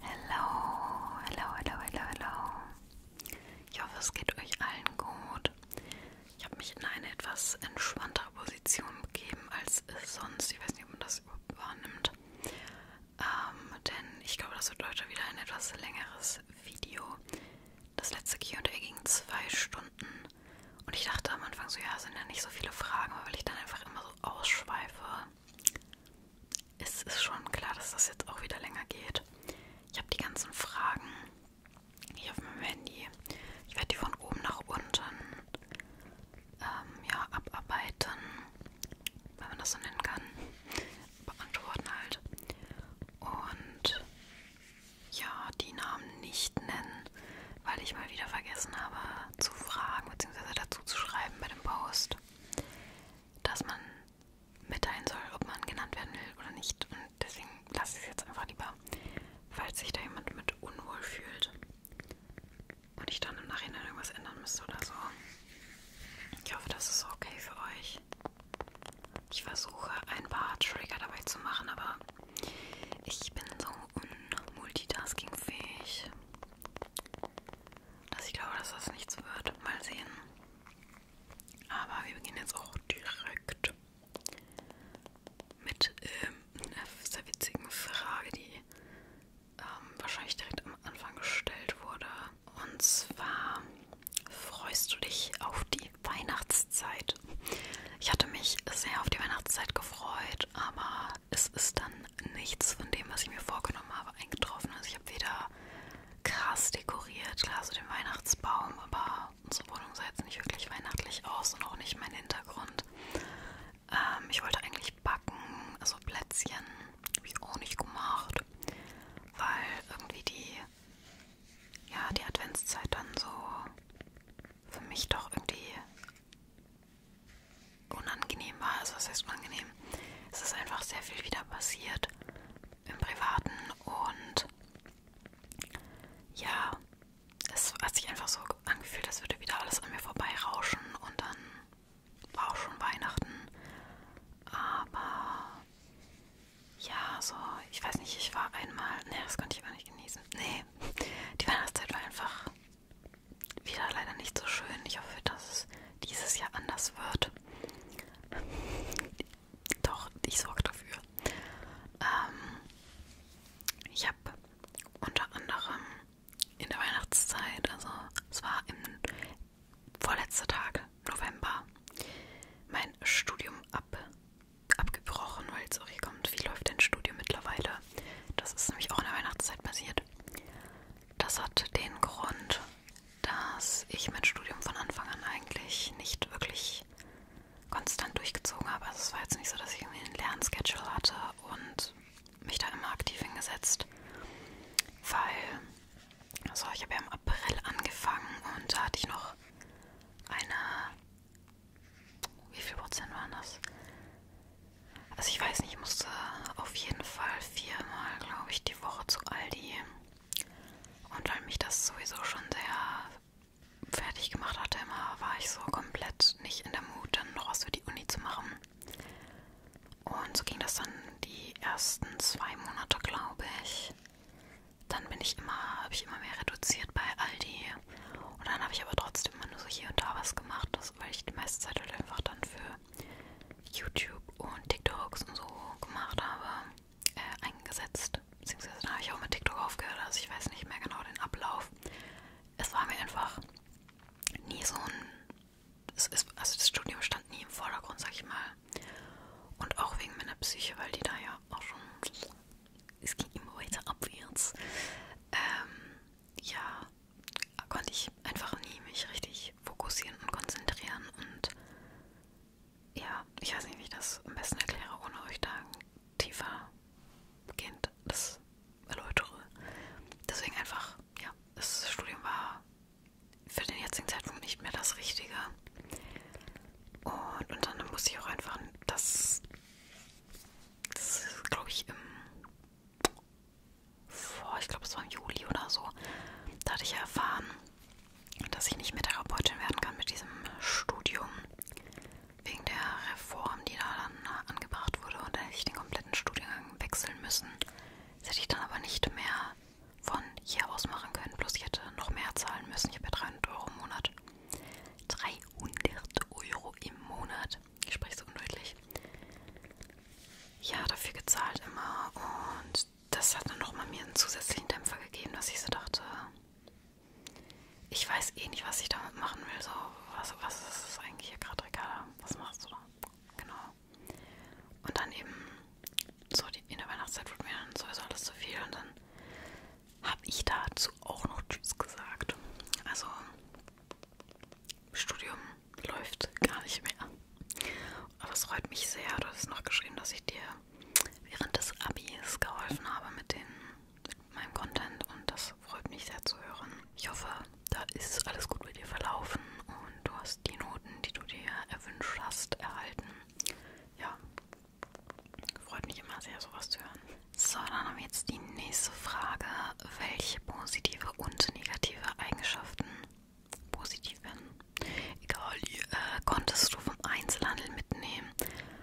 Hallo, hallo, hallo, hallo, hallo. Ich hoffe, es geht euch allen gut. Ich habe mich in eine etwas entspanntere Position begeben als sonst. Ich weiß nicht, ob man das überhaupt wahrnimmt. Ähm, denn ich glaube, das wird heute wieder ein etwas längeres Video. Das letzte QA ging zwei Stunden. Und ich dachte am Anfang so, ja, sind ja nicht so viele Fragen, weil ich dann einfach immer so ausschweife es ist schon klar, dass das jetzt auch wieder länger geht. Ich habe die ganzen Fragen hier auf meinem Handy. Ich werde die von oben nach unten ähm, ja, abarbeiten, wenn man das so nennen kann. Beantworten halt. Und ja, die Namen nicht nennen, weil ich mal wieder vergessen habe zu fragen bzw. dazu zu schreiben bei dem Post dass man mitteilen soll, ob man genannt werden will oder nicht. Und deswegen lasse ich es jetzt einfach lieber, falls sich da jemand mit unwohl fühlt und ich dann im Nachhinein irgendwas ändern müsste oder so. Ich hoffe, das ist okay für euch. Ich versuche ein paar Trigger dabei zu machen, aber ich bin so unmultitaskingfähig dass ich glaube, dass das nichts wird. Mal sehen. Aber wir beginnen jetzt auch direkt mit ähm, einer sehr witzigen Frage, die ähm, wahrscheinlich direkt am Anfang gestellt wurde. Und zwar, freust du dich auf die Weihnachtszeit? Ich hatte mich sehr auf die Weihnachtszeit gefreut, aber es ist dann nichts von dem, was ich mir vorgenommen habe, eingetroffen. Also ich habe weder krass dekoriert, klar so den Weihnachtsbaum, aber unsere Wohnung sah jetzt nicht wirklich weihnachtlich aus und auch nicht mein Hintergrund. Ähm, ich wollte eigentlich backen, also Plätzchen, habe ich auch nicht gemacht, weil irgendwie die, ja, die Adventszeit dann so für mich doch irgendwie unangenehm war. Also was heißt unangenehm? Es ist einfach sehr viel wieder passiert im Privaten und ja, es hat sich einfach so angefühlt, als würde wieder alles an mir vorbeirauschen und dann war auch schon Weihnachten. Aber ja, so, ich weiß nicht, ich war einmal, ne, das konnte ich gar nicht genießen. Nee, die Weihnachtszeit war einfach wieder leider nicht so schön. Ich hoffe, dass es dieses Jahr anders wird. Doch, ich sorge dafür. Ähm, ich habe unter anderem in der Weihnachtszeit, also es war im vorletzter Tag November, mein Studium ab, abgebrochen, weil es auch hier kommt, wie läuft dein Studium mittlerweile? Das ist nämlich auch in der Weihnachtszeit passiert. Das hat den Grund, dass ich mein Studium von Anfang an eigentlich nicht wirklich konstant durchgezogen habe. Also es war jetzt nicht so, dass ich irgendwie einen Lernschedule hatte und mich da immer aktiv hingesetzt, weil also ich habe ja im April angefangen und da hatte ich noch eine, wie viel Prozent waren das? Also ich weiß nicht, ich musste auf jeden Fall viermal, glaube ich, die Woche zu Aldi. Und weil mich das sowieso schon sehr fertig gemacht hatte, immer war ich so komplett nicht in der Mut, dann noch was für die Uni zu machen. Und so ging das dann die ersten zwei Monate, glaube ich. Dann bin ich immer, habe ich immer mehr reduziert bei Aldi. Und dann habe ich aber trotzdem immer nur so hier und da was gemacht, das, weil ich die meiste Zeit halt einfach dann für YouTube und TikToks und so gemacht habe, äh, eingesetzt. Beziehungsweise da habe ich auch mit TikTok aufgehört, also ich weiß nicht mehr genau den Ablauf. Es war mir einfach nie so ein. Es ist, also das Studium stand nie im Vordergrund, sag ich mal. Und auch wegen meiner Psyche, weil die da ja auch schon. Es ging immer weiter abwärts. Ähm, ja, konnte ich einfach nie mich richtig fokussieren und konzentrieren und ja, ich weiß nicht, wie ich das am besten erkläre, ohne euch da tiefer beginnt das erläutere. Deswegen einfach, ja, das Studium war für den jetzigen Zeitpunkt nicht mehr das Richtige. Und, und dann musste ich auch einfach das, das ist, glaube ich, im vor, ich glaube es war im Juli oder so, da hatte ich erfahren, dass ich nicht mehr Therapeutin werden kann mit diesem Studium. Wegen der Reform, die da dann angebracht wurde und da hätte ich den kompletten Studiengang wechseln müssen. Das hätte ich dann aber nicht mehr von hier aus machen können, bloß ich hätte noch mehr zahlen müssen. Ich habe ja 300 Euro im Monat. 300 Euro im Monat. Ich spreche so undeutlich ja dafür gezahlt immer und das hat dann nochmal mir einen zusätzlichen Dämpfer gegeben, dass ich so dachte, ich weiß eh nicht, was ich damit machen will. So, was, was ist das eigentlich hier gerade egal? Was machst du da? Genau. Und dann eben, so die, in der Weihnachtszeit wird mir dann sowieso alles zu viel und dann habe ich dazu auch noch Tschüss gesagt. Also, Studium läuft gar nicht mehr. Aber es freut mich sehr, du hast noch geschrieben, dass ich dir während des Abis geholfen habe mit, den, mit meinem Content und das freut mich sehr zu hören. Ich hoffe, da ist alles gut bei dir verlaufen und du hast die Noten, die du dir erwünscht hast, erhalten. Ja, freut mich immer sehr, sowas zu hören. So, dann haben wir jetzt die nächste Frage. Welche positive und negative Eigenschaften positiv bin. Egal, äh, konntest du vom Einzelhandel mitnehmen,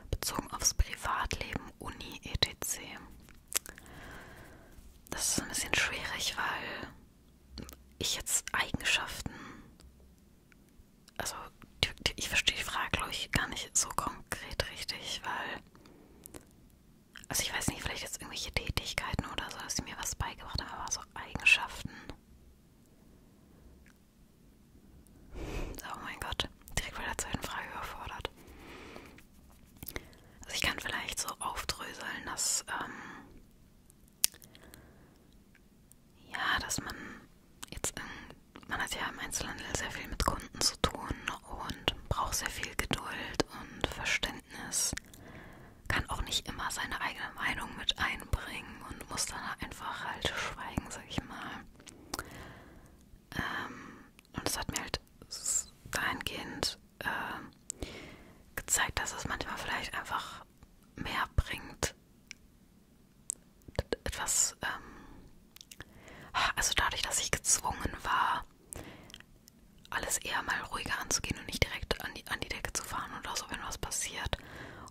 bezogen aufs Privatleben, Uni, etc. Das ist ein bisschen schwierig, weil ich jetzt Eigenschaften, also die, die, ich verstehe die Frage, glaube ich, gar nicht so konkret richtig, weil, also ich weiß nicht, vielleicht jetzt irgendwelche Tätigkeiten oder so, dass sie mir was beigebracht haben, aber so Eigenschaften. Oh mein Gott, direkt bei der zweiten Frage überfordert. Also ich kann vielleicht so aufdröseln, dass ähm, ja, dass man jetzt in, man hat ja im Einzelhandel sehr viel mit Kunden zu tun und braucht sehr viel Geduld und Verständnis kann auch nicht immer seine eigene Meinung mit einbringen und muss dann einfach halt schweigen, sag ich mal. Ähm, und es hat mir halt dahingehend äh, gezeigt, dass es manchmal vielleicht einfach mehr bringt, etwas, ähm, also dadurch, dass ich gezwungen war, alles eher mal ruhiger anzugehen und nicht direkt an die, an die Decke zu fahren oder so, wenn was passiert.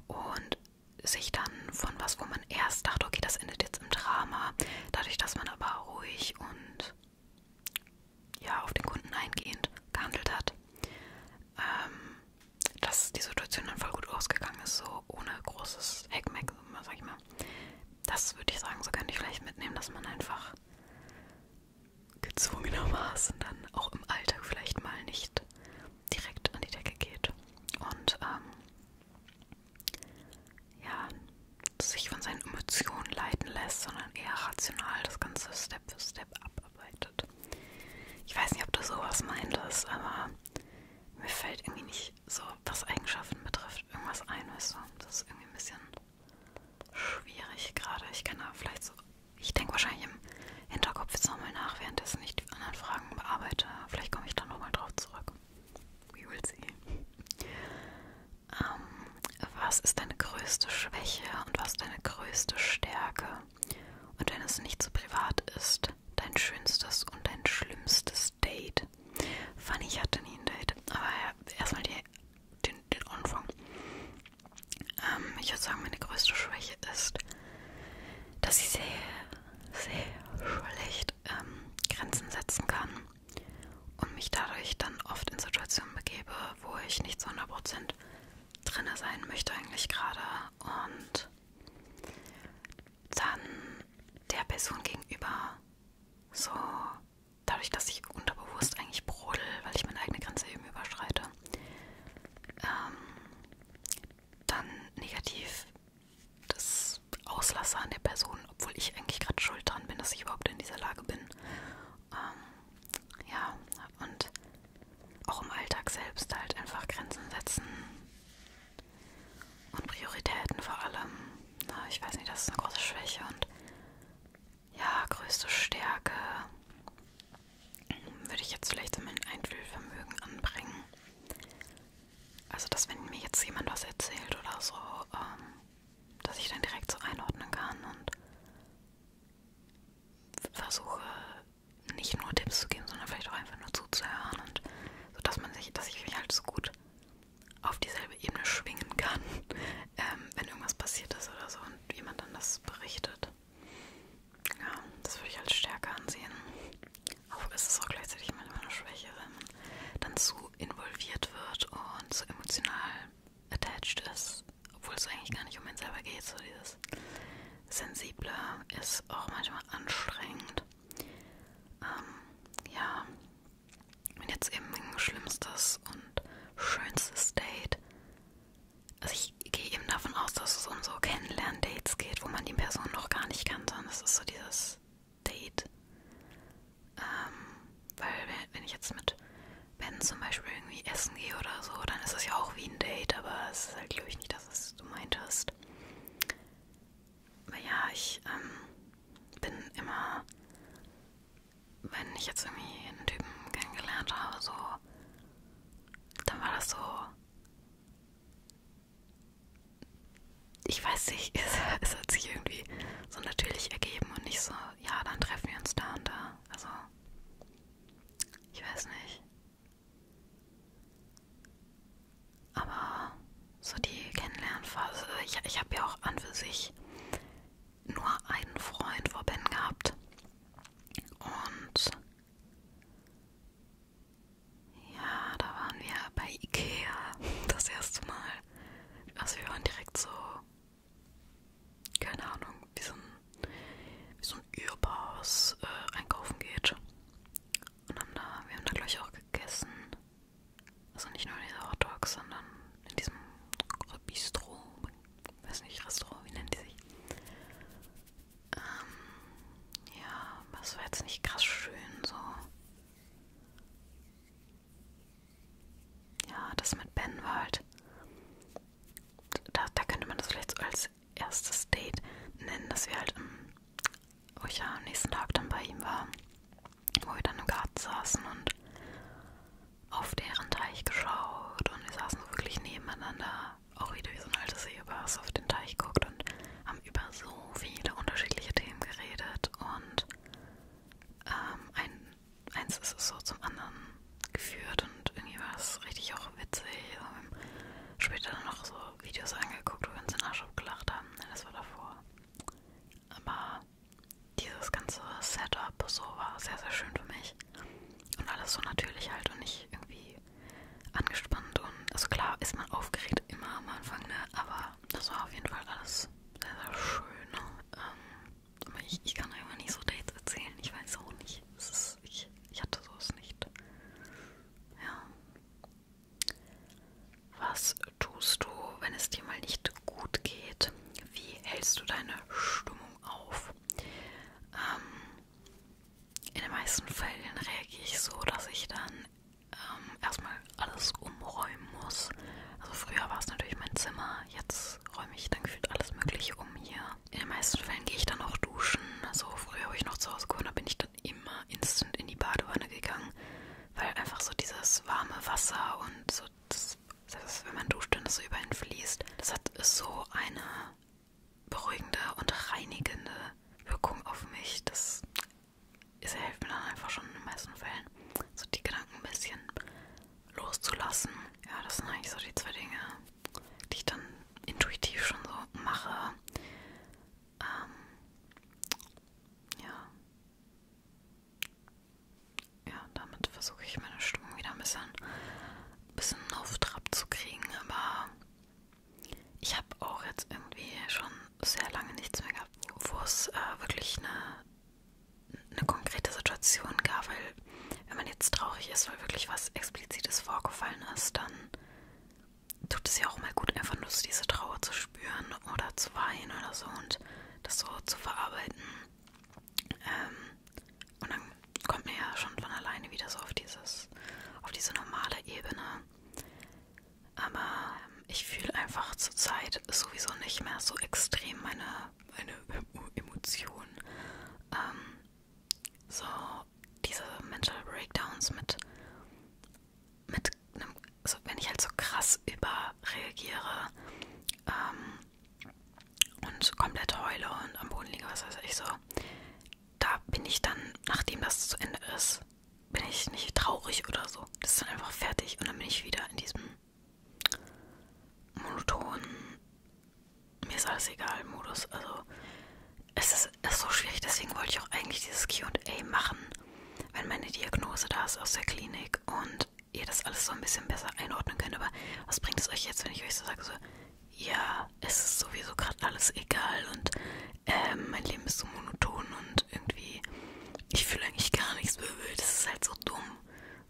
Und sich dann von was, wo man erst dachte, okay, das endet jetzt im Drama, dadurch, dass man aber ruhig und ja, auf den Kunden eingehend gehandelt hat, ähm, dass die Situation dann voll gut ausgegangen ist, so ohne großes Heckmeck, sag ich mal. Das würde ich sagen, so könnte ich vielleicht mitnehmen, dass man einfach gezwungenermaßen dann auch im Alltag vielleicht mal nicht direkt an die Decke geht und ähm, ja, sich von seinen Emotionen leiten lässt, sondern eher rational das Ganze Step für Step abarbeitet. Ich weiß nicht, ob du sowas meintest, aber mir fällt irgendwie nicht so, was Eigenschaften betrifft, irgendwas ein, weißt du? Das ist irgendwie ein bisschen schwierig gerade. Ich kann da vielleicht so ich denke wahrscheinlich im Hinterkopf jetzt nochmal nach, währenddessen ich die anderen Fragen bearbeite. Vielleicht komme ich dann nochmal drauf zurück. We will see. Ähm, was ist deine größte Schwäche und was deine größte Stärke? Und wenn es nicht zu so privat ist, dein schönstes und dein schlimmstes Date. Fanny, ich hatte nie ein Date, aber erstmal die, den, den Anfang. Ähm, ich würde sagen, meine größte Schwäche ist, dass ich sehr, sehr schlecht ähm, Grenzen setzen kann und mich dadurch dann oft in Situationen begebe, wo ich nicht zu 100% drinne sein möchte eigentlich gerade und dann der Person gegenüber so dadurch, dass ich unterbewusst eigentlich brodel, weil ich meine eigene Grenze eben überschreite, ähm, dann negativ das Auslassen an der Person, obwohl ich eigentlich gerade schuld dran bin, dass ich überhaupt in dieser Lage bin. Ähm, ja, und auch im Alltag selbst halt einfach Grenzen setzen und Prioritäten vor allem. Na, ich weiß nicht, das ist eine große Schwäche und ja, größte Stärke würde ich jetzt vielleicht in mein Einfühlvermögen anbringen. Also, dass wenn mir jetzt jemand was erzählt oder so, ähm, dass ich dann direkt so einordnen kann und versuche nicht nur Tipps zu geben, sondern vielleicht auch einfach nur zuzuhören und so, dass man sich, dass ich mich halt so gut auf dieselbe Ebene schwingen kann, ähm, wenn irgendwas passiert ist oder so und jemand dann das berichtet. Ja, das würde ich als Stärke ansehen. Aber es ist auch gleichzeitig manchmal eine Schwäche, wenn man dann zu involviert wird und zu emotional attached ist, obwohl es eigentlich gar nicht um ihn selber geht. So dieses Sensible ist auch manchmal anstrengend. Ähm, ja, wenn jetzt eben ein schlimmstes und schönstes Date also ich gehe eben davon aus, dass es um so Kennenlern-Dates geht, wo man die Person noch gar nicht kannte. Und das ist so dieses Date. Ähm, weil wenn ich jetzt mit Ben zum Beispiel irgendwie essen gehe oder so, dann ist es ja auch wie ein Date, aber es ist halt, glaube ich, nicht das, was du meintest. Aber ja, ich ähm, bin immer, wenn ich jetzt irgendwie einen Typen kennengelernt habe, so dann war das so. Ich weiß nicht, es, es hat sich irgendwie so natürlich ergeben und nicht so, ja, dann treffen wir uns da und da. Also, ich weiß nicht. Aber so die Kennenlernphase, ich, ich habe ja auch an für sich nur einen Freund vor Ben gehabt. Und ja, da waren wir bei Ikea das erste Mal. Also wir waren direkt so, keine Ahnung, wie so ein, wie so ein Überaus äh, einkaufen geht. Und haben da, wir haben da gleich auch gegessen. Also nicht nur diese Hot Dogs, sondern in diesem Bistro weiß nicht, Restaurant, wie nennen die sich? Ähm, ja, was war jetzt nicht krass schön, so. Ja, das mit Ben war halt. Da, da könnte man das vielleicht so als erstes Date nennen, dass wir halt, wo ich ja am nächsten Tag dann bei ihm war, wo wir dann im Garten saßen und auf deren Teich geschaut und wir saßen so wirklich nebeneinander Ori durch so ein altes Seebars auf den Teich guckt und haben über so viele unterschiedliche Themen geredet und ähm, ein, eins ist es so zum anderen geführt und irgendwie war es richtig auch witzig. Wir haben später dann noch so Videos angeguckt, wo wir uns in Arsch abgelacht haben. Das war davor. Aber dieses ganze Setup so war sehr, sehr schön für mich. Und alles so natürlich halt und nicht irgendwie angespannt und also klar ist man aufgeregt immer am Anfang, ne? Aber das war auf jeden Fall alles sehr, sehr schön. Ne? Ähm, aber ich, ich kann einfach nicht so Dates erzählen. Ich weiß auch nicht. Es ist, ich, ich hatte sowas nicht. Ja. Was tust du, wenn es dir mal nicht gut geht? Wie hältst du deine Stimmung auf? Ähm, in den meisten Fällen reagiere ich so, dass ich dann ähm, erstmal alles umräumen muss. Also früher war es natürlich mein Zimmer, jetzt räume ich dann gefühlt alles Mögliche um hier. In den meisten Fällen gehe ich dann auch duschen. Also früher, wo ich noch zu Hause gewohnt habe, bin ich dann immer instant in die Badewanne gegangen, weil einfach so dieses warme Wasser und so, das, das, wenn man duscht und das so über ihn fließt, das hat so eine beruhigende und reinigende Wirkung auf mich. Das, das hilft mir dann einfach schon in den meisten Fällen, so die Gedanken ein bisschen loszulassen. Ja, das sind eigentlich so die zwei Dinge, die ich dann intuitiv schon so mache. Ähm, ja. Ja, damit versuche ich meine Stimmung wieder ein bisschen ein bisschen Luft abzukriegen, aber ich habe auch jetzt irgendwie schon sehr lange nichts mehr gehabt, wo es äh, wirklich eine, eine konkrete Situation gab, weil wenn man jetzt traurig ist, weil wirklich was Explizites vorgefallen ist, dann tut es ja auch mal gut, einfach nur diese Trauer zu spüren oder zu weinen oder so und das so zu verarbeiten. Ähm, und dann kommt man ja schon von alleine wieder so auf dieses, auf diese normale Ebene. Aber ähm, ich fühle einfach zurzeit sowieso nicht mehr so extrem meine, meine Emotionen. Ähm, so diese Mental Breakdowns mit, mit einem, also wenn ich halt so krass überreagiere ähm, und komplett heule und am Boden liege, was weiß ich so, da bin ich dann, nachdem das zu Ende ist, bin ich nicht traurig oder so. Das ist dann einfach fertig und dann bin ich wieder in diesem monotonen, mir ist alles egal Modus. Also es ist, es ist so schwierig, deswegen wollte ich auch eigentlich dieses QA machen, wenn meine Diagnose da ist aus der Klinik und ihr das alles so ein bisschen besser einordnen könnt. Aber was bringt es euch jetzt, wenn ich euch so sage, so, ja, es ist sowieso gerade alles egal und ähm, mein Leben ist so monoton und irgendwie, ich fühle eigentlich gar nichts Böbel, das ist halt so dumm.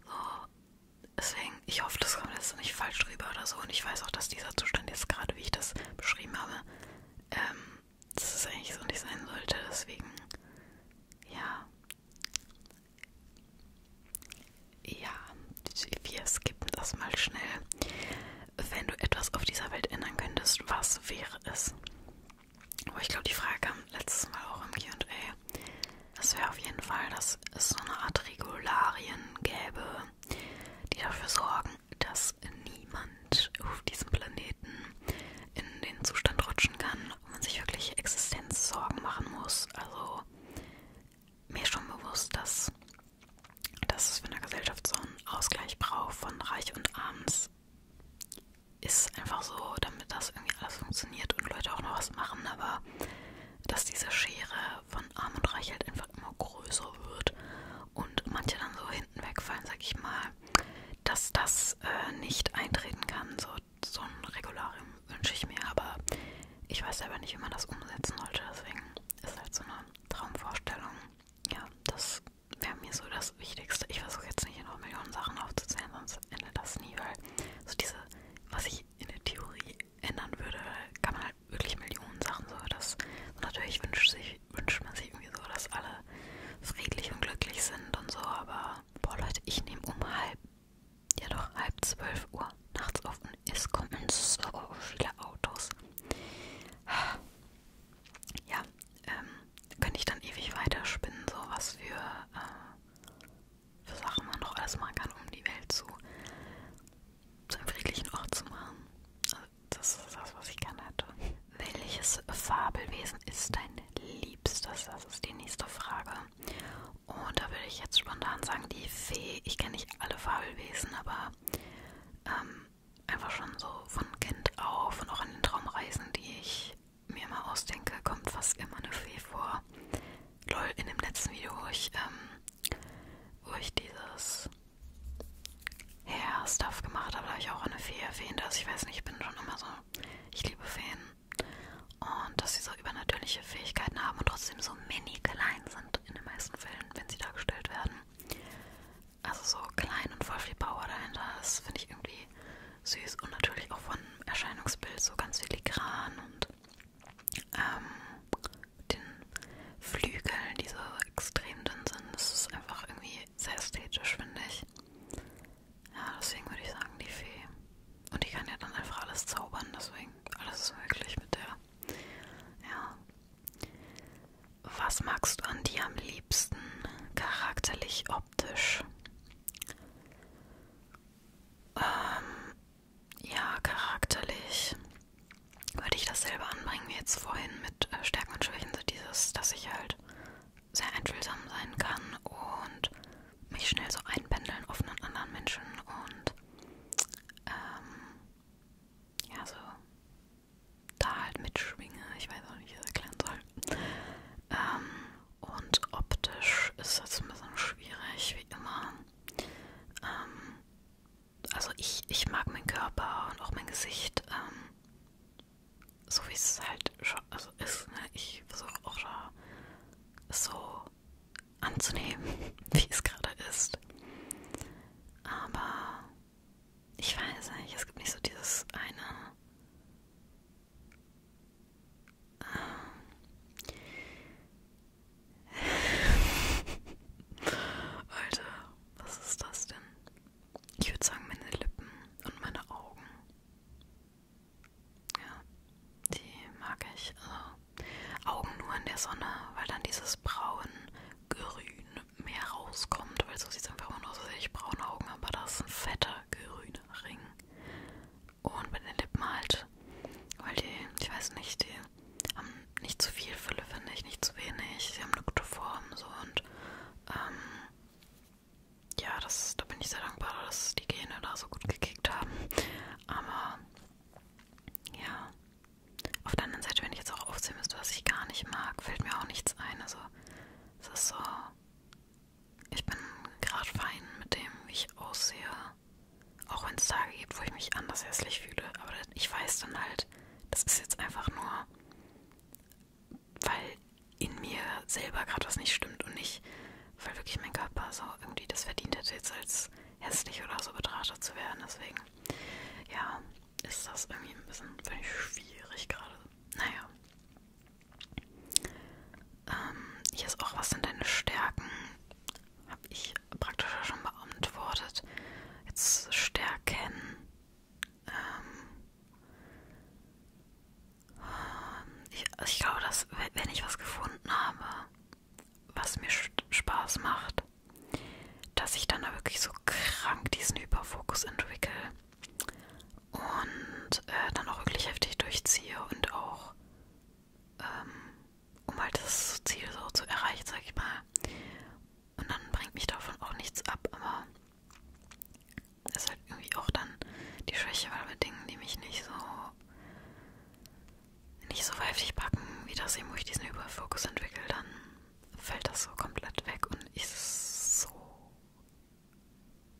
So, deswegen, ich hoffe, das kommt jetzt nicht falsch rüber oder so. Und ich weiß auch, dass dieser Zustand jetzt gerade, wie ich das beschrieben habe, ähm, dass es eigentlich so nicht sein sollte. Deswegen, ja. Ja, wir skippen das mal schnell. Wenn du etwas auf dieser Welt ändern könntest, was wäre es? Aber oh, ich glaube, die Frage kam letztes Mal auch im QA. Das wäre auf jeden Fall, dass es so eine Art Regularien gäbe, die dafür sorgen, dass niemand auf diesem Planeten in den Zustand rutschen kann, wo man sich wirklich Existenzsorgen machen muss. Also mir ist schon bewusst, dass dass es für eine Gesellschaft so einen Ausgleich braucht von Reich und Arms, ist einfach so, damit das irgendwie alles funktioniert und Leute auch noch was machen, aber dass diese Schere von Arm und Reich halt einfach immer größer wird und manche dann so hinten wegfallen, sag ich mal, dass das äh, nicht eintreten kann. So, so ein Regularium wünsche ich mir, aber ich weiß selber nicht, wie man das umsetzen sollte, deswegen ist halt so eine Traumvorstellung. Ja, das wäre mir so das Wichtigste. Ich versuche jetzt nicht noch Millionen Sachen aufzuzählen, sonst endet das nie, weil so diese, was ich in der Theorie ändern würde, kann man halt wirklich Millionen Sachen so. Das, und natürlich wünscht, sich, wünscht man sich irgendwie so, dass alle friedlich und glücklich sind und so, aber boah Leute, ich nehme um halb, ja doch halb zwölf Uhr nachts offen ist, kommen so viele Autos. Ja, ähm, könnte ich dann ewig weiterspinnen, so was für, äh, für Sachen man noch alles machen kann, um die Welt zu, zu einem friedlichen Ort zu machen. Also, das ist das, was ich gerne hätte. Welches Fabelwesen ist dein Liebstes? Das ist die nächste Frage. Und da würde ich jetzt spontan sagen, die Fee. Ich kenne nicht alle Fabelwesen, aber ähm, einfach schon so von Kind auf und auch an den Traumreisen, die ich mir mal ausdenke, kommt fast immer eine Fee vor. Lol, in dem letzten Video, wo ich, ähm, wo ich dieses Hair-Stuff gemacht habe, da habe ich auch eine Fee erwähnt. Also ich weiß nicht, ich bin schon immer so, ich liebe Feen. Und dass sie so übernatürliche Fähigkeiten haben und trotzdem so mini klein sind sind in den meisten Fällen, wenn sie dargestellt werden. Also so klein und voll viel Power dahinter, das finde ich irgendwie süß und natürlich auch von Erscheinungsbild so ganz filigran und ähm, den Flügeln, die so extrem dünn sind. Das ist einfach irgendwie sehr ästhetisch, finde ich. Ja, deswegen würde ich sagen, die Fee. Und die kann ja dann einfach alles zaubern, deswegen alles ist möglich mit der. Ja, was magst du an dir am liebsten, charakterlich, optisch? Ähm, ja, charakterlich würde ich dasselbe anbringen wie jetzt vorhin mit äh, Stärken und Schwächen, so dieses, dass ich halt sehr einfühlsam sein kann und mich schnell so einpendeln, offen an anderen Menschen und ähm, ja, so da halt mitschwinge. Ich weiß auch nicht, wie ich das erklären soll. Ähm, und optisch ist das ein bisschen schwierig, wie immer. Ähm, also ich, ich mag meinen Körper und auch mein Gesicht, ähm, so wie es halt also ist. Ne? Ich versuche auch da so anzunehmen, wie es gerade ist. Aber ich weiß nicht, es gibt nicht so dieses eine. Ähm, Alter, was ist das denn? Ich würde sagen, meine Lippen und meine Augen. Ja, die mag ich. Also Augen nur in der Sonne, weil dann dieses Braun grün mehr rauskommt, weil so sieht es einfach immer nur aus, als hätte ich braune Augen, aber das ist ein fetter grüner Ring. Und bei den Lippen halt, weil die, ich weiß nicht, die haben nicht zu viel Fülle, finde ich, nicht zu wenig, sie haben eine gute Form so und ähm, ja, das, da bin ich sehr dankbar, dass die Gene da so gut gekickt haben. Aber ja, auf der anderen Seite, wenn ich jetzt auch aufzählen müsste, was ich gar nicht mag, fällt mir auch nichts ein. Also, es ist so. Ich bin gerade fein mit dem, wie ich aussehe. Auch wenn es Tage gibt, wo ich mich anders hässlich fühle. Aber ich weiß dann halt, das ist jetzt einfach nur, weil in mir selber gerade was nicht stimmt und nicht, weil wirklich mein Körper so irgendwie das verdient hätte, jetzt als hässlich oder so betrachtet zu werden. Deswegen, ja ist das irgendwie ein bisschen ich, schwierig gerade. Naja. Ähm, hier ist auch, was sind deine Stärken? Habe ich praktisch schon beantwortet. Jetzt Stärken. Ähm, ich, ich glaube, dass, wenn ich was gefunden habe, was mir Spaß macht, dass ich dann da wirklich so krank diesen Hyperfokus entwickle und äh, dann auch wirklich heftig durchziehe und auch, ähm, um halt das Ziel so zu erreichen, sag ich mal. Und dann bringt mich davon auch nichts ab, aber ist halt irgendwie auch dann die Schwäche, weil bei Dingen, die mich nicht so nicht so heftig packen, wie das eben, wo ich diesen Überfokus entwickle, dann fällt das so komplett weg und ich so.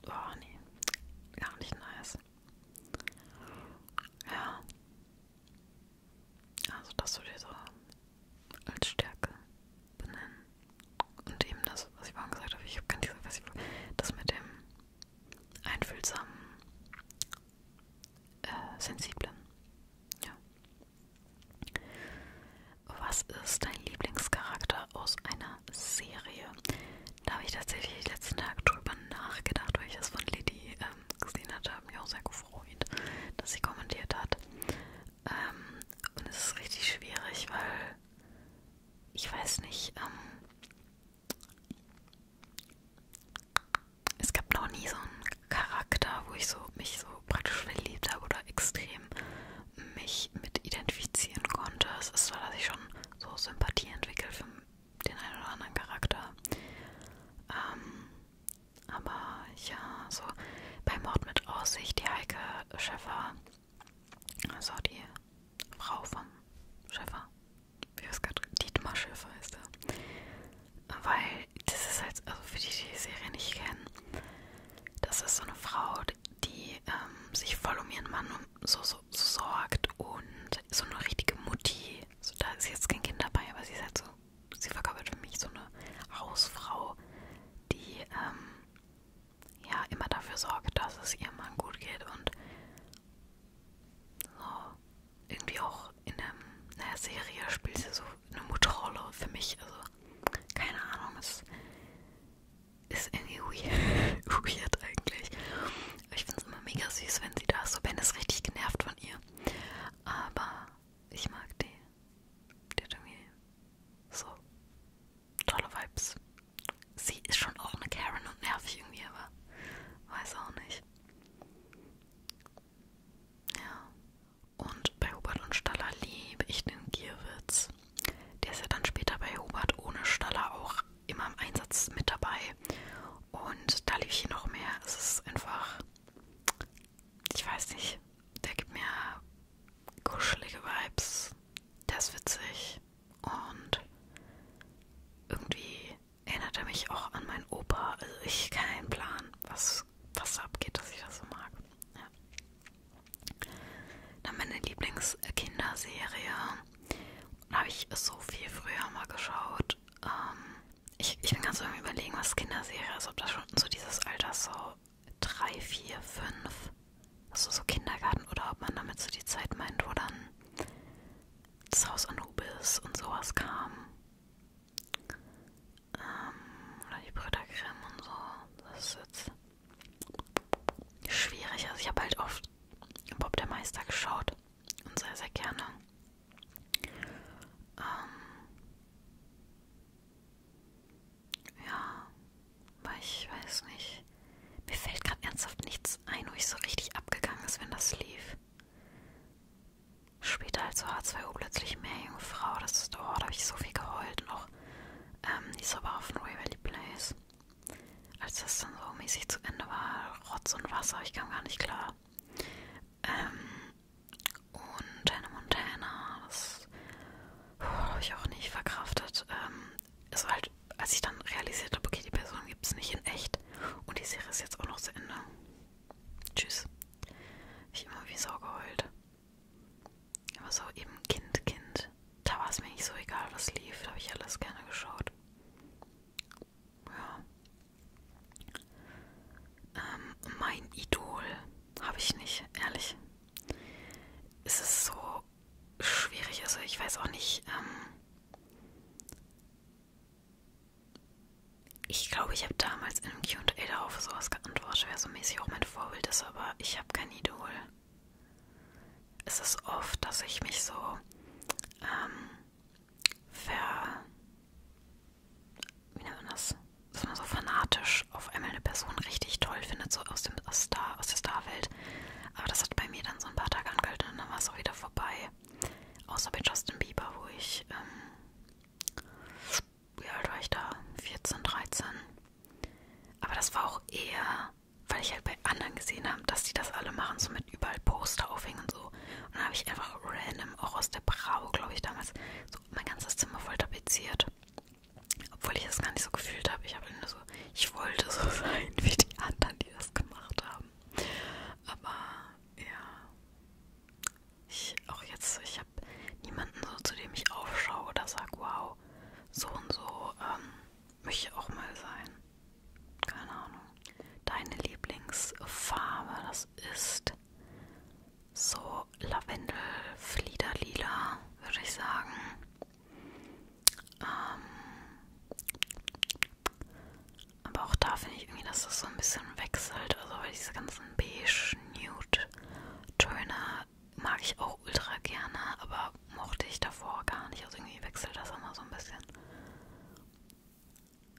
Oh nee, gar nicht nice. Ja. Also das würde ich so als Stärke benennen. Und eben das, was ich vorhin gesagt habe, ich habe gar nicht gesagt, was ich das mit dem einfühlsamen, äh, sensiblen. Ja. Was ist dein Lieblingscharakter aus einer Serie? Da habe ich tatsächlich letzten Tag drüber nachgedacht, weil ich das von Lady ähm, gesehen hatte. Habe mich auch sehr gefreut, dass sie kommentiert hat. Ähm, und es ist richtig schwierig, weil ich weiß nicht. Ähm, es gab noch nie so einen Charakter, wo ich so mich so praktisch verliebt habe oder extrem mich mit identifizieren konnte. Es ist so, dass ich schon so Sympathie entwickelt für den einen oder anderen Charakter. Ähm, aber ja, so bei Mord mit Aussicht, die Heike Schäfer, also die Frau von Schäfer, wie es gerade Dietmar Schäfer heißt er, weil das ist halt, also für die, die die Serie nicht kennen, das ist so eine Frau, die ähm, sich voll um ihren Mann so, so, so sorgt und so eine richtige Mutti. So, da ist jetzt kein Kind dabei, aber sie ist halt so, sie verkörpert für mich so eine Hausfrau, die ähm, ja immer dafür sorgt, dass es ihrem Mann gut geht und so irgendwie auch auch in einer, einer Serie spielt sie so eine Mutterrolle für mich. Also, keine Ahnung, es ist irgendwie weird, weird eigentlich. Aber ich finde es immer mega süß, wenn sie da ist. So, Ben ist richtig genervt von ihr. Aber ich mag die. Die hat irgendwie so tolle Vibes. Sie ist schon auch eine Karen und nervig irgendwie, aber weiß auch nicht. Ja. Und bei Hubert und Staller liebe ich den Gierwitz. Der ist ja dann später bei Hubert ohne Staller auch immer im Einsatz mit dabei. Und da liebe ich ihn noch mehr. Es ist einfach, ich weiß nicht, der gibt mir kuschelige Vibes. Der ist witzig. Und irgendwie erinnert er mich auch an meinen Opa. Also ich keinen Plan, was was, was da abgeht, dass ich das so mag. Ja. Dann meine Lieblingskinderserie. Da habe ich so viel früher mal geschaut. Ähm, ich, ich bin ganz so überlegen, was Kinderserie ist, ob das schon so dieses Alter so 3, 4, 5, also so Kindergarten oder ob man damit so die Zeit meint, wo dann das Haus Anubis und sowas kam ähm, oder die Brüdercreme und so. Das ist jetzt schwierig. Also ich habe halt oft Bob der Meister geschaut und sehr, sehr gerne. Ähm, ja, weil ich weiß nicht. Mir fällt gerade ernsthaft nichts ein, wo ich so richtig abgegangen ist, wenn das lief. Später als H2O plötzlich mehr junge Frau. Das ist, oh, da habe ich so viel geheult noch. Ähm, die ist aber auf dem Valley Place. Als das dann so mäßig zu Ende war, Rotz und Wasser, ich kam gar nicht klar. Ähm, und Hannah Montana, das oh, habe ich auch nicht verkraftet. Ähm, es war halt, als ich dann realisiert habe, okay, die Person gibt es nicht in echt. Und die Serie ist jetzt auch noch zu Ende. Tschüss. Ich immer wie Sau geheult. Aber so eben Kind, Kind, da war es mir nicht so egal, was lief, da habe ich alles gerne geschaut. Ja. Ähm, mein Idol habe ich nicht, ehrlich. Es ist so schwierig, also ich weiß auch nicht, ähm, ich glaube, ich habe damals in einem QA darauf sowas geantwortet, wer so mäßig auch mein Vorbild ist, aber ich habe kein Idol. Es ist oft, dass ich mich so ähm, ver. wie nennt man das? Dass man so fanatisch auf einmal eine Person richtig toll findet, so aus, dem, aus, Star, aus der Starwelt. Aber das hat bei mir dann so ein paar Tage angehalten und dann war es auch wieder vorbei. Außer bei Justin Bieber, wo ich. Ähm, wie alt war ich da? 14, 13. Aber das war auch eher, weil ich halt bei anderen gesehen habe, dass die das alle machen, so mit überall Poster aufhängen und so. Und dann habe ich einfach random, auch aus der Brau, glaube ich, damals, so mein ganzes Zimmer voll tapeziert. Obwohl ich das gar nicht so gefühlt habe. Ich habe nur so, ich wollte so sein wie die anderen, die das gemacht haben. Aber ja, ich auch jetzt, ich habe niemanden so, zu dem ich aufschaue oder sage, wow, so und so ähm, möchte ich auch mal sein. Keine Ahnung. Deine Lieblingsfarbe, das ist so Lavendel, Fliederlila, würde ich sagen. Ähm, aber auch da finde ich irgendwie, dass das so ein bisschen wechselt. Also weil diese ganzen beige, nude Töne mag ich auch ultra gerne, aber mochte ich davor gar nicht. Also irgendwie wechselt das immer so ein bisschen.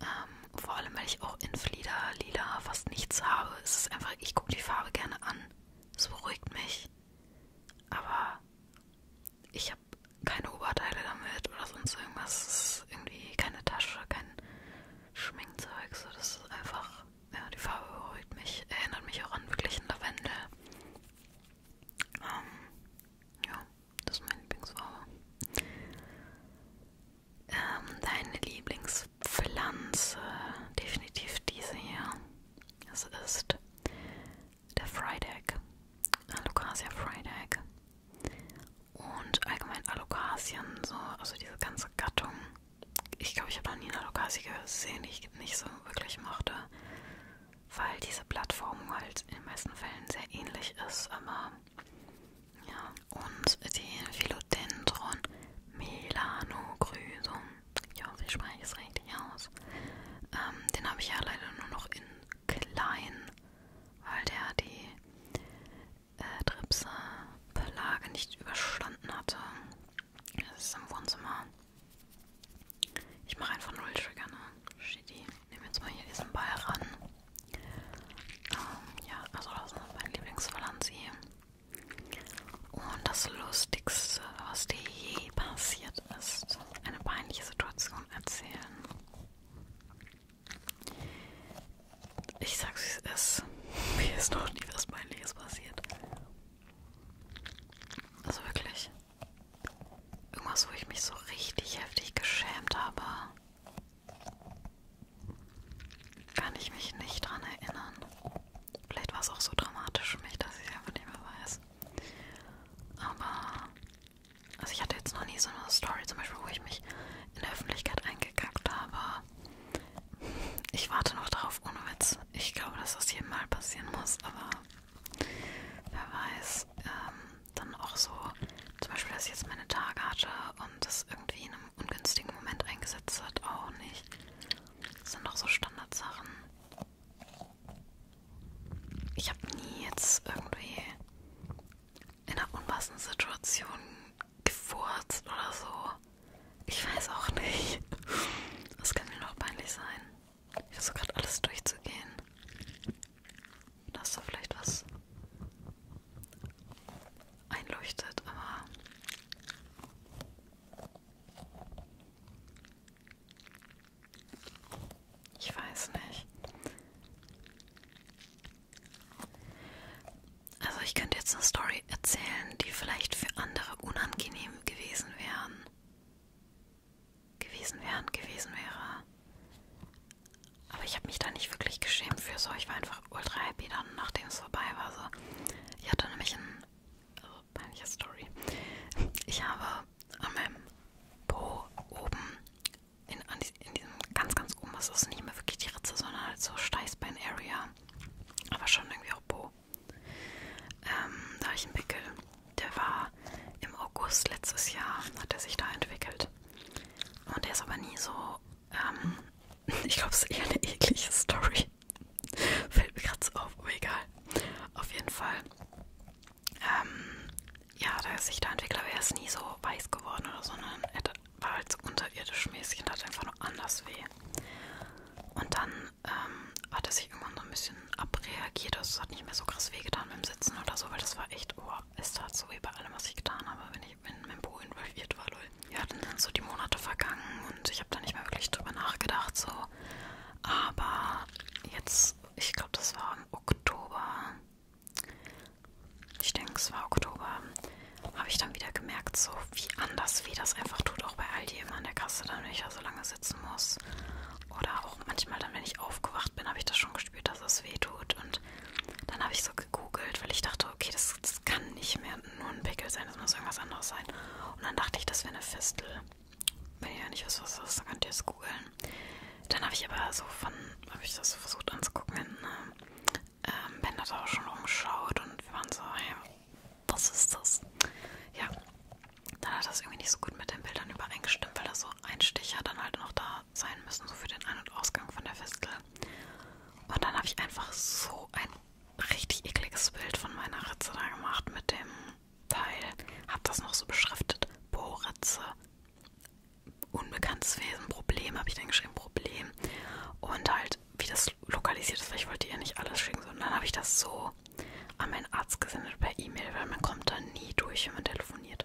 Ähm, vor allem, weil ich auch in Flieder lila fast nichts habe. Es ist einfach, ich gucke die Farbe gerne an. Es beruhigt mich. Aber ich habe keine Oberteile damit oder sonst irgendwas. Es ist irgendwie keine Tasche, kein Schminkzeug. So, das ist einfach ja, die Farbe beruhigt mich, erinnert mich auch an wirklich einen Lavendel. Ähm, ja, das ist meine Lieblingsfarbe. Ähm, deine Lieblingspflanze, definitiv diese hier. Es ist der Fried Egg, Alocasia Fried Egg. Und allgemein Alokasien, so, also diese ganze Gattung ich glaube, ich habe noch nie eine Lokasi gesehen, die ich nicht so wirklich mochte, weil diese Plattform halt in den meisten Fällen sehr ähnlich ist, aber ja, und die Philodendron Melanogrysum, ja, wie spreche ich es richtig aus, ähm, den habe ich ja leider nur noch in klein, weil der die äh, Tripse Belage nicht überstanden hatte. Das ist im Wohnzimmer. Ich mache einfach null Trigger, ne? Shitty. Nehmen jetzt mal hier diesen Ball ran. Ähm, ja, also das ist mein Lieblingsvalanzi. Und das Lustigste, was dir je passiert ist, eine peinliche Situation erzählen. Ich sag's wie es ist. Mir ist noch nie was Peinliches passiert. Also wirklich. Irgendwas, wo ich mich so richtig heftig geschämt habe. Kann ich mich nicht dran erinnern. Vielleicht war es auch so dramatisch für mich, dass ich es einfach nicht mehr weiß. Aber. Also, ich hatte jetzt noch nie so eine Story, zum Beispiel, wo ich mich in der Öffentlichkeit eingekackt habe. Ich warte noch darauf, ohne Witz. Ich glaube, dass das jedem Mal passieren muss, aber wer weiß. Ähm, dann auch so, zum Beispiel, dass ich jetzt meine Tage hatte und das irgendwie in einem ungünstigen Moment eingesetzt hat, auch nicht. Das sind doch so Standardsachen. Ich habe nie jetzt irgendwie in einer unpassenden Situation gefurzt oder so. Ich weiß auch nicht. Das kann mir noch peinlich sein. Ich versuche gerade alles durchzugehen. Da ist doch vielleicht was einleuchtet, aber. Ich weiß nicht. Also ich könnte jetzt eine Story erzählen, die vielleicht für andere unangenehm gewesen wären. Gewesen wären, gewesen wäre. Aber ich habe mich da nicht wirklich geschämt für so. Ich war einfach ultra happy dann, nachdem es vorbei war. So. Ich hatte nämlich ein also peinliche Story. Ich habe an meinem Po oben, in, die, in diesem ganz, ganz oben, das ist nicht mehr wirklich die Ritze, sondern halt so Steißbein-Area. Aber schon irgendwie auch Po. Ähm, da habe ich einen Pickel. Der war im August letztes Jahr, hat er sich da entwickelt. Und der ist aber nie so, ähm, ich glaube, es ist eher eine eklige Story. Fällt mir gerade so auf, aber egal. Auf jeden Fall. Ähm, ja, da ist sich der Entwickler, aber er ist nie so weiß geworden oder so, sondern er war halt so unterirdisch mäßig und hat einfach nur anders weh. Und dann ähm, hat er sich irgendwann so ein bisschen abreagiert. Also es hat nicht mehr so krass wehgetan beim Sitzen oder so, weil das war echt, oh, es tat so wie bei allem, was ich getan habe, wenn ich in meinem Po involviert war, lol. Ja, dann sind so die Monate vergangen und ich habe da nicht mehr wirklich drüber nachgedacht, so. Aber jetzt, ich glaube, das war im Oktober. Ich denke, es war Oktober habe ich dann wieder gemerkt, so wie anders wie das einfach tut, auch bei Aldi immer an der Kasse, dann wenn ich da so lange sitzen muss. Oder auch manchmal dann, wenn ich aufgewacht bin, habe ich das schon gespürt, dass es weh tut. Und dann habe ich so gegoogelt, weil ich dachte, okay, das, das kann nicht mehr nur ein Pickel sein, das muss irgendwas anderes sein. Und dann dachte ich, das wäre eine Fistel. Wenn ihr ja nicht wisst, was das ist, dann könnt ihr es googeln. Dann habe ich aber so von, habe ich das so versucht anzugucken, wenn, ne, ähm, Ben hat auch schon rumgeschaut und wir waren so, hey, was ist das? Ja, dann hat das irgendwie nicht so gut mit den Bildern übereingestimmt, weil da so Einsticher dann halt noch da sein müssen, so für den Ein- und Ausgang von der Fistel. Und dann habe ich einfach so ein richtig ekliges Bild von meiner Ritze da gemacht mit dem Teil. Hab das noch so beschriftet. Bohrritze. Unbekanntes Wesen, Problem, habe ich dann geschrieben, Problem. Und halt halt, wie das lokalisiert ist, weil ich wollte ihr nicht alles schicken. Und dann habe ich das so an meinen Arzt gesendet per E-Mail, weil man kommt da nie durch, wenn man telefoniert,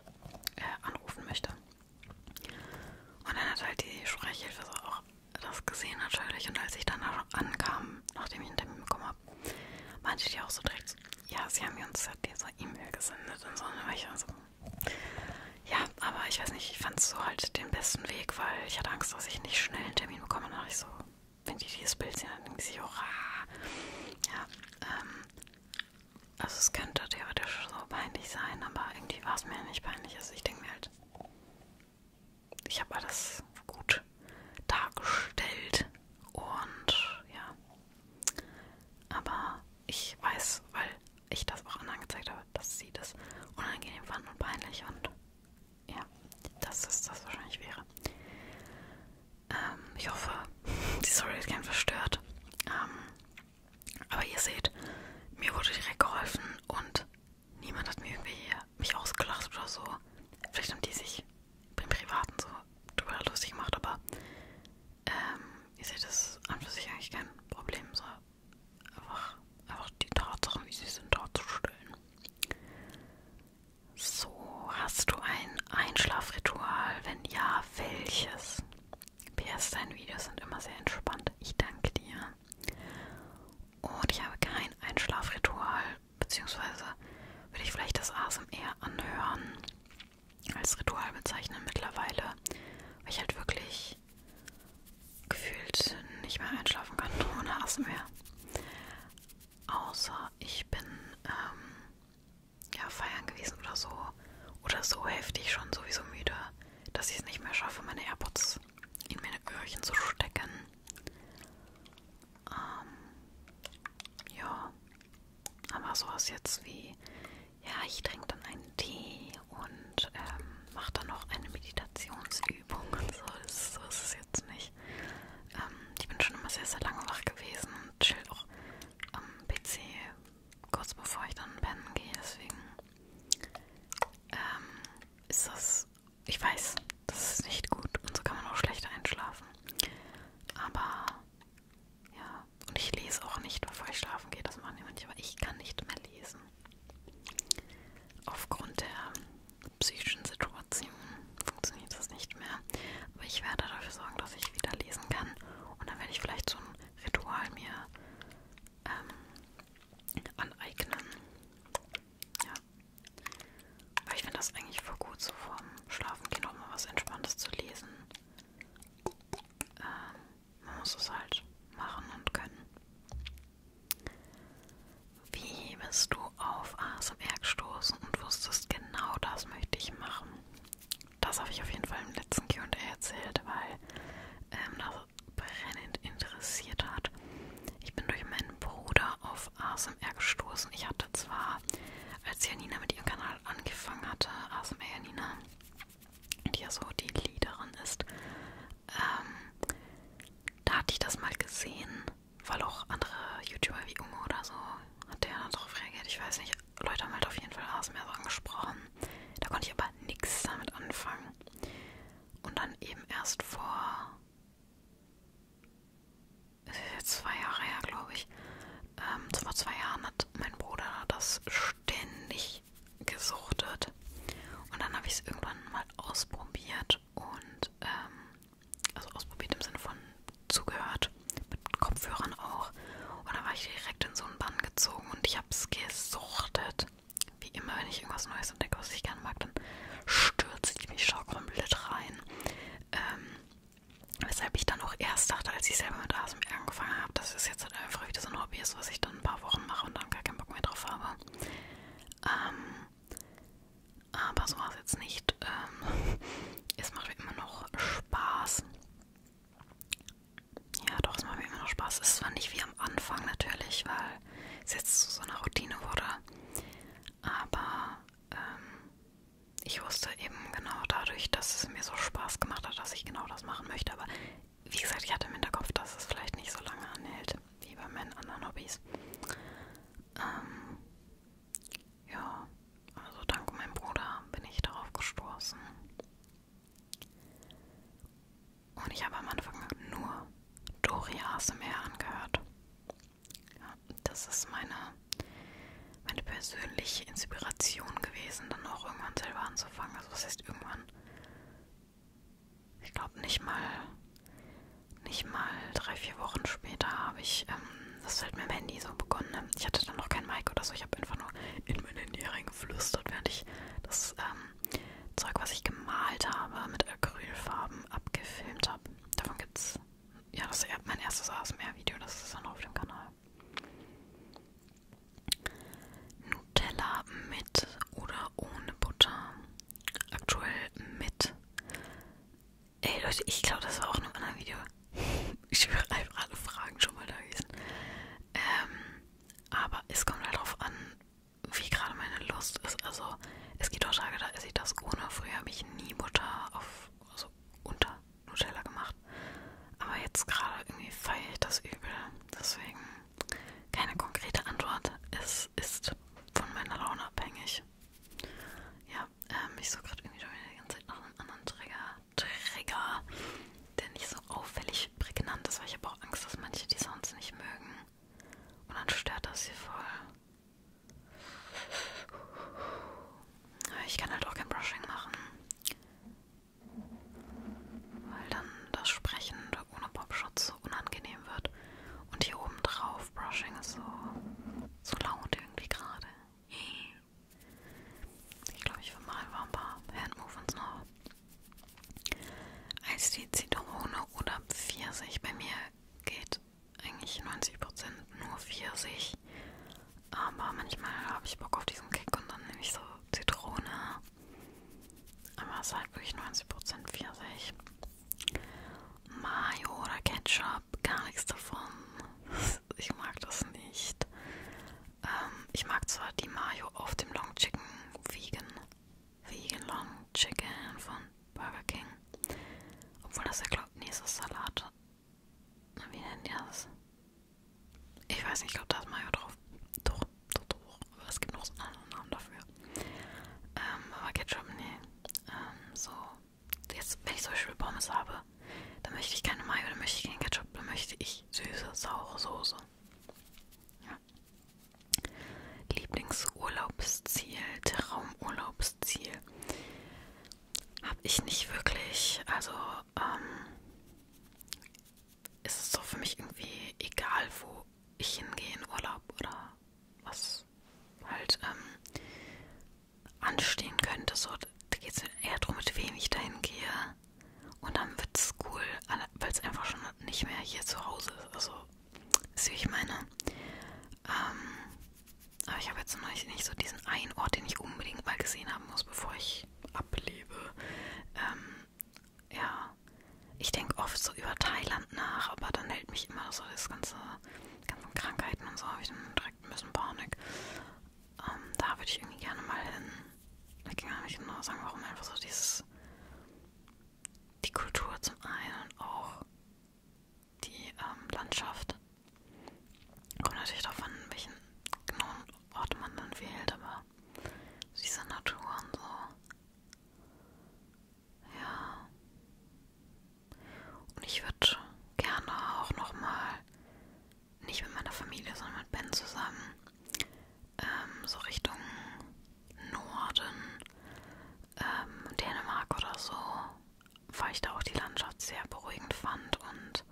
äh, anrufen möchte. Und dann hat halt die Sprechhilfe so auch das gesehen natürlich. Und als ich dann ankam, nachdem ich einen Termin bekommen habe, meinte die auch so direkt, ja, sie haben mir uns halt diese E-Mail gesendet und so. Und dann war ich also, ja, aber ich weiß nicht, ich fand so halt den besten Weg, weil ich hatte Angst, dass ich nicht schnell einen Termin bekomme. Und dann dachte ich so, so, wenn die dieses Bild sehen, dann denken sie, hurra. Ja, ähm, also es könnte theoretisch so peinlich sein, aber irgendwie war es mir nicht peinlich. Also ich denke mir halt, ich habe alles gut dargestellt und ja. Aber ich weiß, weil ich das auch anderen gezeigt habe, dass sie das unangenehm fanden und peinlich und ja, dass das, das wahrscheinlich wäre. Ähm, ich hoffe, die Story ist kein verstört. Ähm, aber ihr seht, mir wurde direkt geholfen und niemand hat mir irgendwie mich ausgelacht oder so. Vielleicht haben die sich im Privaten so drüber lustig gemacht, aber ähm, ihr seht, das ist an für sich eigentlich kein Problem. So einfach, einfach die Tatsachen, wie sie sind, darzustellen. So, hast du ein Einschlafritual? Wenn ja, welches? PS, deine Videos sind immer sehr entspannt. Ich danke dir. Und ich habe kein Einschlafritual, beziehungsweise würde ich vielleicht das ASMR anhören als Ritual bezeichnen mittlerweile, weil ich halt wirklich gefühlt nicht mehr einschlafen kann ohne ASMR. Außer ich bin ähm, ja, feiern gewesen oder so. Oder so heftig schon sowieso müde, dass ich es nicht mehr schaffe, meine AirPods in meine Öhrchen zu stecken. Ähm, ja. Aber sowas jetzt wie, ja, ich trinke dann einen Tee und ähm, mache dann noch eine Meditationsübung und so. Das, so ist es jetzt nicht. Ähm, ich bin schon immer sehr, sehr lange wach gewesen und chill auch am PC kurz bevor ich dann pennen gehe. Deswegen ähm, ist das, ich weiß, das ist nicht gut und so kann man auch schlecht einschlafen. Aber ja, und ich lese auch nicht, bevor ich schlafen gehe. Das machen ja manche, aber ich kann nicht mehr lesen. Aufgrund der psychischen Situation funktioniert das nicht mehr. Aber ich werde dafür sorgen, dass ich wieder lesen kann. Und dann werde ich vielleicht so ein Ritual mir ähm, aneignen. Ja. Weil ich finde das eigentlich voll gut, so vorm Schlafengehen auch mal was Entspanntes zu lesen. Ähm, man muss es halt machen und können. Wie bist du auf ASMR gestoßen und wusstest, genau das möchte ich machen? Das habe ich auf jeden Fall im letzten QA erzählt, weil ähm, das brennend interessiert hat. Ich bin durch meinen Bruder auf ASMR gestoßen. Ich hatte zwar, als Janina mit ihrem Kanal angefangen hatte, ASMR Janina, die ja so die Leaderin ist, ähm, da hatte ich das mal gesehen weil auch andere YouTuber wie Unge oder so hat der dann darauf reagiert. Ich weiß nicht, Leute haben halt auf jeden Fall ASMR so angesprochen. Da konnte ich aber nichts damit anfangen. Und dann eben erst vor zwei Jahre her, glaube ich. Ähm, vor zwei Jahren hat mein Bruder das ständig gesuchtet. Und dann habe ich es irgendwann mal ausprobiert und ähm, also ausprobiert im Sinne von zugehört, mit Kopfhörern auch. Und da war ich direkt in so einen Bann gezogen und ich hab's gesuchtet. Wie immer, wenn ich irgendwas Neues entdecke, was ich gerne mag, dann stürze ich mich schon komplett rein. Ähm, weshalb ich dann auch erst dachte, als ich selber mit ASMR angefangen habe, dass es jetzt halt einfach wieder so ein Hobby ist, was ich dann ein paar Wochen mache und dann gar keinen Bock mehr drauf habe. Ähm, aber so war es jetzt nicht. Ähm, es macht mir immer noch Spaß. Ja, doch, es macht mir immer noch Spaß. Es war nicht wie am Anfang natürlich, weil es jetzt zu so einer Routine wurde. Aber ähm, ich wusste eben genau dadurch, dass es mir so Spaß gemacht hat, dass ich genau das machen möchte. Aber wie gesagt, ich hatte im Hinterkopf, dass es vielleicht nicht so lange anhält wie bei meinen anderen Hobbys. Ähm, ja, also dank meinem Bruder bin ich darauf gestoßen. Und ich habe am Anfang nur Dori ASMR angehört. Ja, das ist meine, meine persönliche Inspiration gewesen, dann auch irgendwann selber anzufangen. Also was heißt irgendwann? ich glaube nicht mal, nicht mal drei, vier Wochen später habe ich ähm, das halt mit dem Handy so begonnen. Ne? Ich hatte dann noch kein Mic oder so, ich habe einfach nur in mein Handy reingeflüstert, während ich das ähm, Zeug, was ich gemalt habe, mit Acrylfarben abgefilmt habe. Davon gibt's. Ja, das ist mein erstes ASMR-Video, das ist dann auf dem Kanal. Nutella mit oder ohne Butter? Aktuell mit. Ey Leute, ich glaube, das war auch in einem anderen Video. Ich höre einfach alle Fragen schon mal da gewesen. Ähm, aber es kommt halt darauf an, wie gerade meine Lust ist. Also es gibt auch Tage, da esse ich das ohne. Früher habe ich nie Butter auf, also unter Nutella gemacht. Aber jetzt gerade irgendwie feiere ich das übel. Deswegen keine konkrete Antwort. Es ist von meiner Laune abhängig. Ja, ähm, ich suche gerade irgendwie schon wieder die ganze Zeit nach einem anderen Trigger. Trigger, der nicht so auffällig prägnant ist, weil ich habe auch Angst, dass manche die Sounds nicht mögen. Und dann stört das hier voll. Ich kann halt auch kein Brushing machen. Weil dann das Sprechen ohne Popschutz so unangenehm wird. Und hier oben drauf, Brushing ist so, so laut irgendwie gerade. Ich glaube, ich vermal mal ein paar Handmovements noch. Als die Zitrone oder Pfirsich, bei mir geht eigentlich 90% nur Pfirsich. Aber manchmal habe ich Bock auf diesen Kick und dann nehme ich so Zitrone. Aber es ist halt wirklich 90% Pfirsich. Mayo oder Ketchup, gar nichts davon. Ich mag das nicht. Ähm, ich mag zwar die Mayo auf dem Long Chicken Vegan, Vegan Long Chicken von Burger King. Obwohl das ja glaubt, nee, ist das Salat. Wie nennen die das? Ich weiß nicht, ich glaube, da ist Mayo drauf. Doch, doch, doch. Aber es gibt noch so einen anderen Namen dafür. Ähm, aber Ketchup, nee. Ähm, so jetzt, wenn ich zum Beispiel Pommes habe, dann möchte ich keine Mayo, dann möchte ich keinen Ketchup, dann möchte ich süße, saure Soße. Ja. Lieblingsurlaubsziel, Traumurlaubsziel. Habe ich nicht wirklich, also ähm, ist es so für mich irgendwie egal, wo ich hingehe in Urlaub oder was halt ähm, anstehen könnte. So, da geht es eher darum, mit wem ich dahin gehe. Und dann wird es cool, weil es einfach schon nicht mehr hier zu Hause ist. Also, ist wie ich meine. Ähm, aber ich habe jetzt noch nicht, nicht so diesen einen Ort, den ich unbedingt mal gesehen haben muss, bevor ich ablebe. Ähm, ja, ich denke oft so über Thailand nach, aber dann hält mich immer so das ganze ganzen Krankheiten und so habe ich dann direkt ein bisschen Panik. Ähm, da würde ich irgendwie gerne mal hin. Ich kann gar nicht genau sagen, warum einfach so dieses die Kultur zum einen und auch die ähm, Landschaft. Kommt natürlich darauf an, welchen genauen Ort man dann wählt, aber diese Natur und so. Ja. Und ich würde gerne auch nochmal, nicht mit meiner Familie, sondern mit Ben zusammen, ähm, so Richtung Norden, ähm, Dänemark oder so, weil ich da auch die Landschaft sehr beruhigend fand und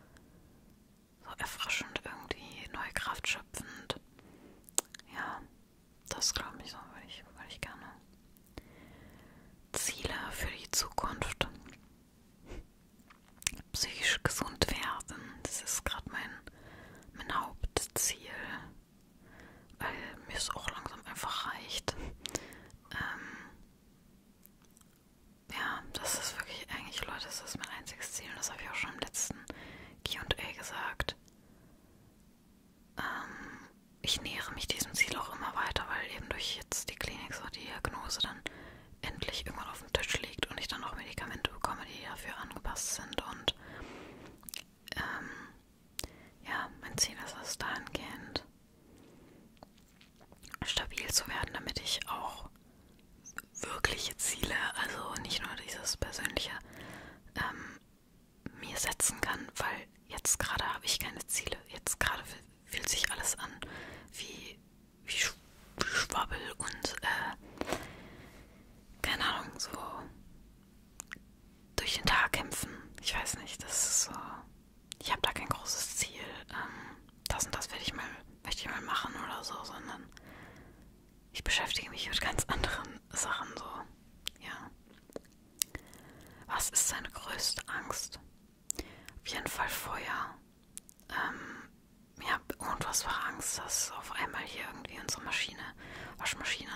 so erfrischend irgendwie, neue Kraft schöpfend. Ja, das glaube ich so, würde ich, würd ich gerne. Ziele für die Zukunft. Psychisch gesund werden, das ist gerade mein, mein Hauptziel, weil mir es auch langsam einfach reicht. Ähm, ja, das ist wirklich eigentlich, Leute, das ist mein einziges Ziel, das habe ich auch schon im letzten QA gesagt ähm, ich nähere mich diesem Ziel auch immer weiter, weil eben durch jetzt die Klinik so die Diagnose dann endlich irgendwann auf dem Tisch liegt und ich dann auch Medikamente bekomme, die dafür angepasst sind. Und ähm, ja, mein Ziel ist es dahingehend stabil zu werden, damit ich auch wirkliche Ziele, also nicht nur dieses persönliche, ähm, mir setzen kann, weil jetzt gerade habe ich keine Ziele. Jetzt gerade fühlt sich alles an wie, wie Sch Schwabbel und äh, keine Ahnung, so durch den Tag kämpfen. Ich weiß nicht, das ist so. Ich habe da kein großes Ziel. Ähm, das und das werde ich mal, möchte ich mal machen oder so, sondern ich beschäftige mich mit ganz anderen Sachen so. Ja. Was ist seine größte Angst? Auf jeden Fall Feuer. Ähm, ja, unfassbare Angst, dass auf einmal hier irgendwie unsere Maschine, Waschmaschine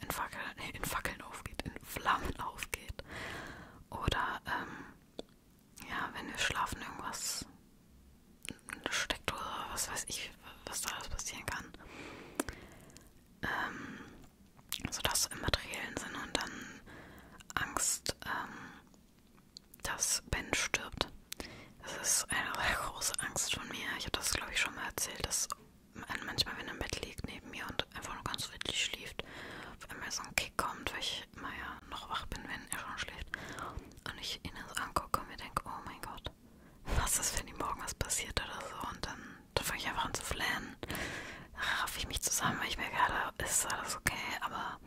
in, Fackel, nee, in Fackeln aufgeht, in Flammen aufgeht. Oder, ähm, ja, wenn wir schlafen, irgendwas eine Steckdose, was weiß ich, was da alles passieren kann. Ähm, sodass im materiellen Sinne und dann Angst, ähm, dass Ben stirbt. Das ist eine sehr große Angst von mir. Ich habe das, glaube ich, schon mal erzählt, dass manchmal, wenn er im Bett liegt neben mir und einfach nur ganz friedlich schläft, auf einmal so ein Kick kommt, weil ich immer ja noch wach bin, wenn er schon schläft. Und ich ihn das angucke und mir denke, oh mein Gott, was ist, wenn ihm morgen was passiert oder so? Und dann da fange ich einfach an zu flennen. Raffe ich mich zusammen, weil ich mir gerade, ist alles okay, aber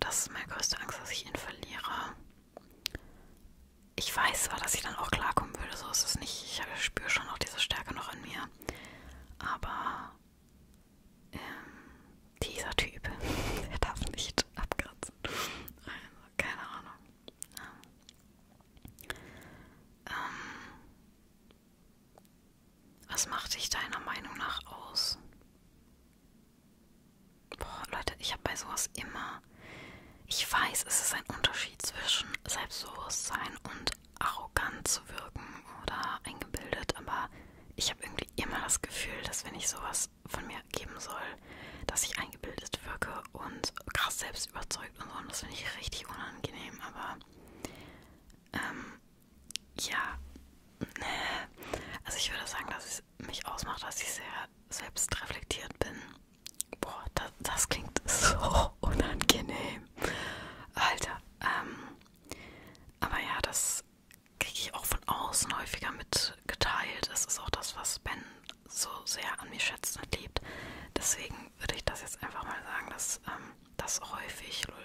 das ist meine größte Angst, dass ich ihn verliere. Ich weiß zwar, dass ich dann auch klarkommen würde, so ist es nicht. Ich spüre schon auch diese Stärke noch in mir. Aber ähm, dieser Typ, der darf nicht abkratzen. Also, keine Ahnung. Ja. Ähm, was macht dich deiner Meinung nach aus? Boah, Leute, ich habe bei sowas immer. Ich weiß, es ist ein Unterschied zwischen Selbstbewusstsein und arrogant zu wirken oder eingebildet, aber ich habe irgendwie immer das Gefühl, dass wenn ich sowas von mir geben soll, dass ich eingebildet wirke und krass selbst überzeugt und so. Und das finde ich richtig unangenehm, aber ähm, ja, ne. also ich würde sagen, dass es mich ausmacht, dass ich sehr selbstreflektiert bin. Boah, das, das klingt so unangenehm. Alter, ähm, aber ja, das kriege ich auch von außen häufiger mitgeteilt. Das ist auch das, was Ben so sehr an mir schätzt und liebt. Deswegen würde ich das jetzt einfach mal sagen, dass ähm, das häufig, lol,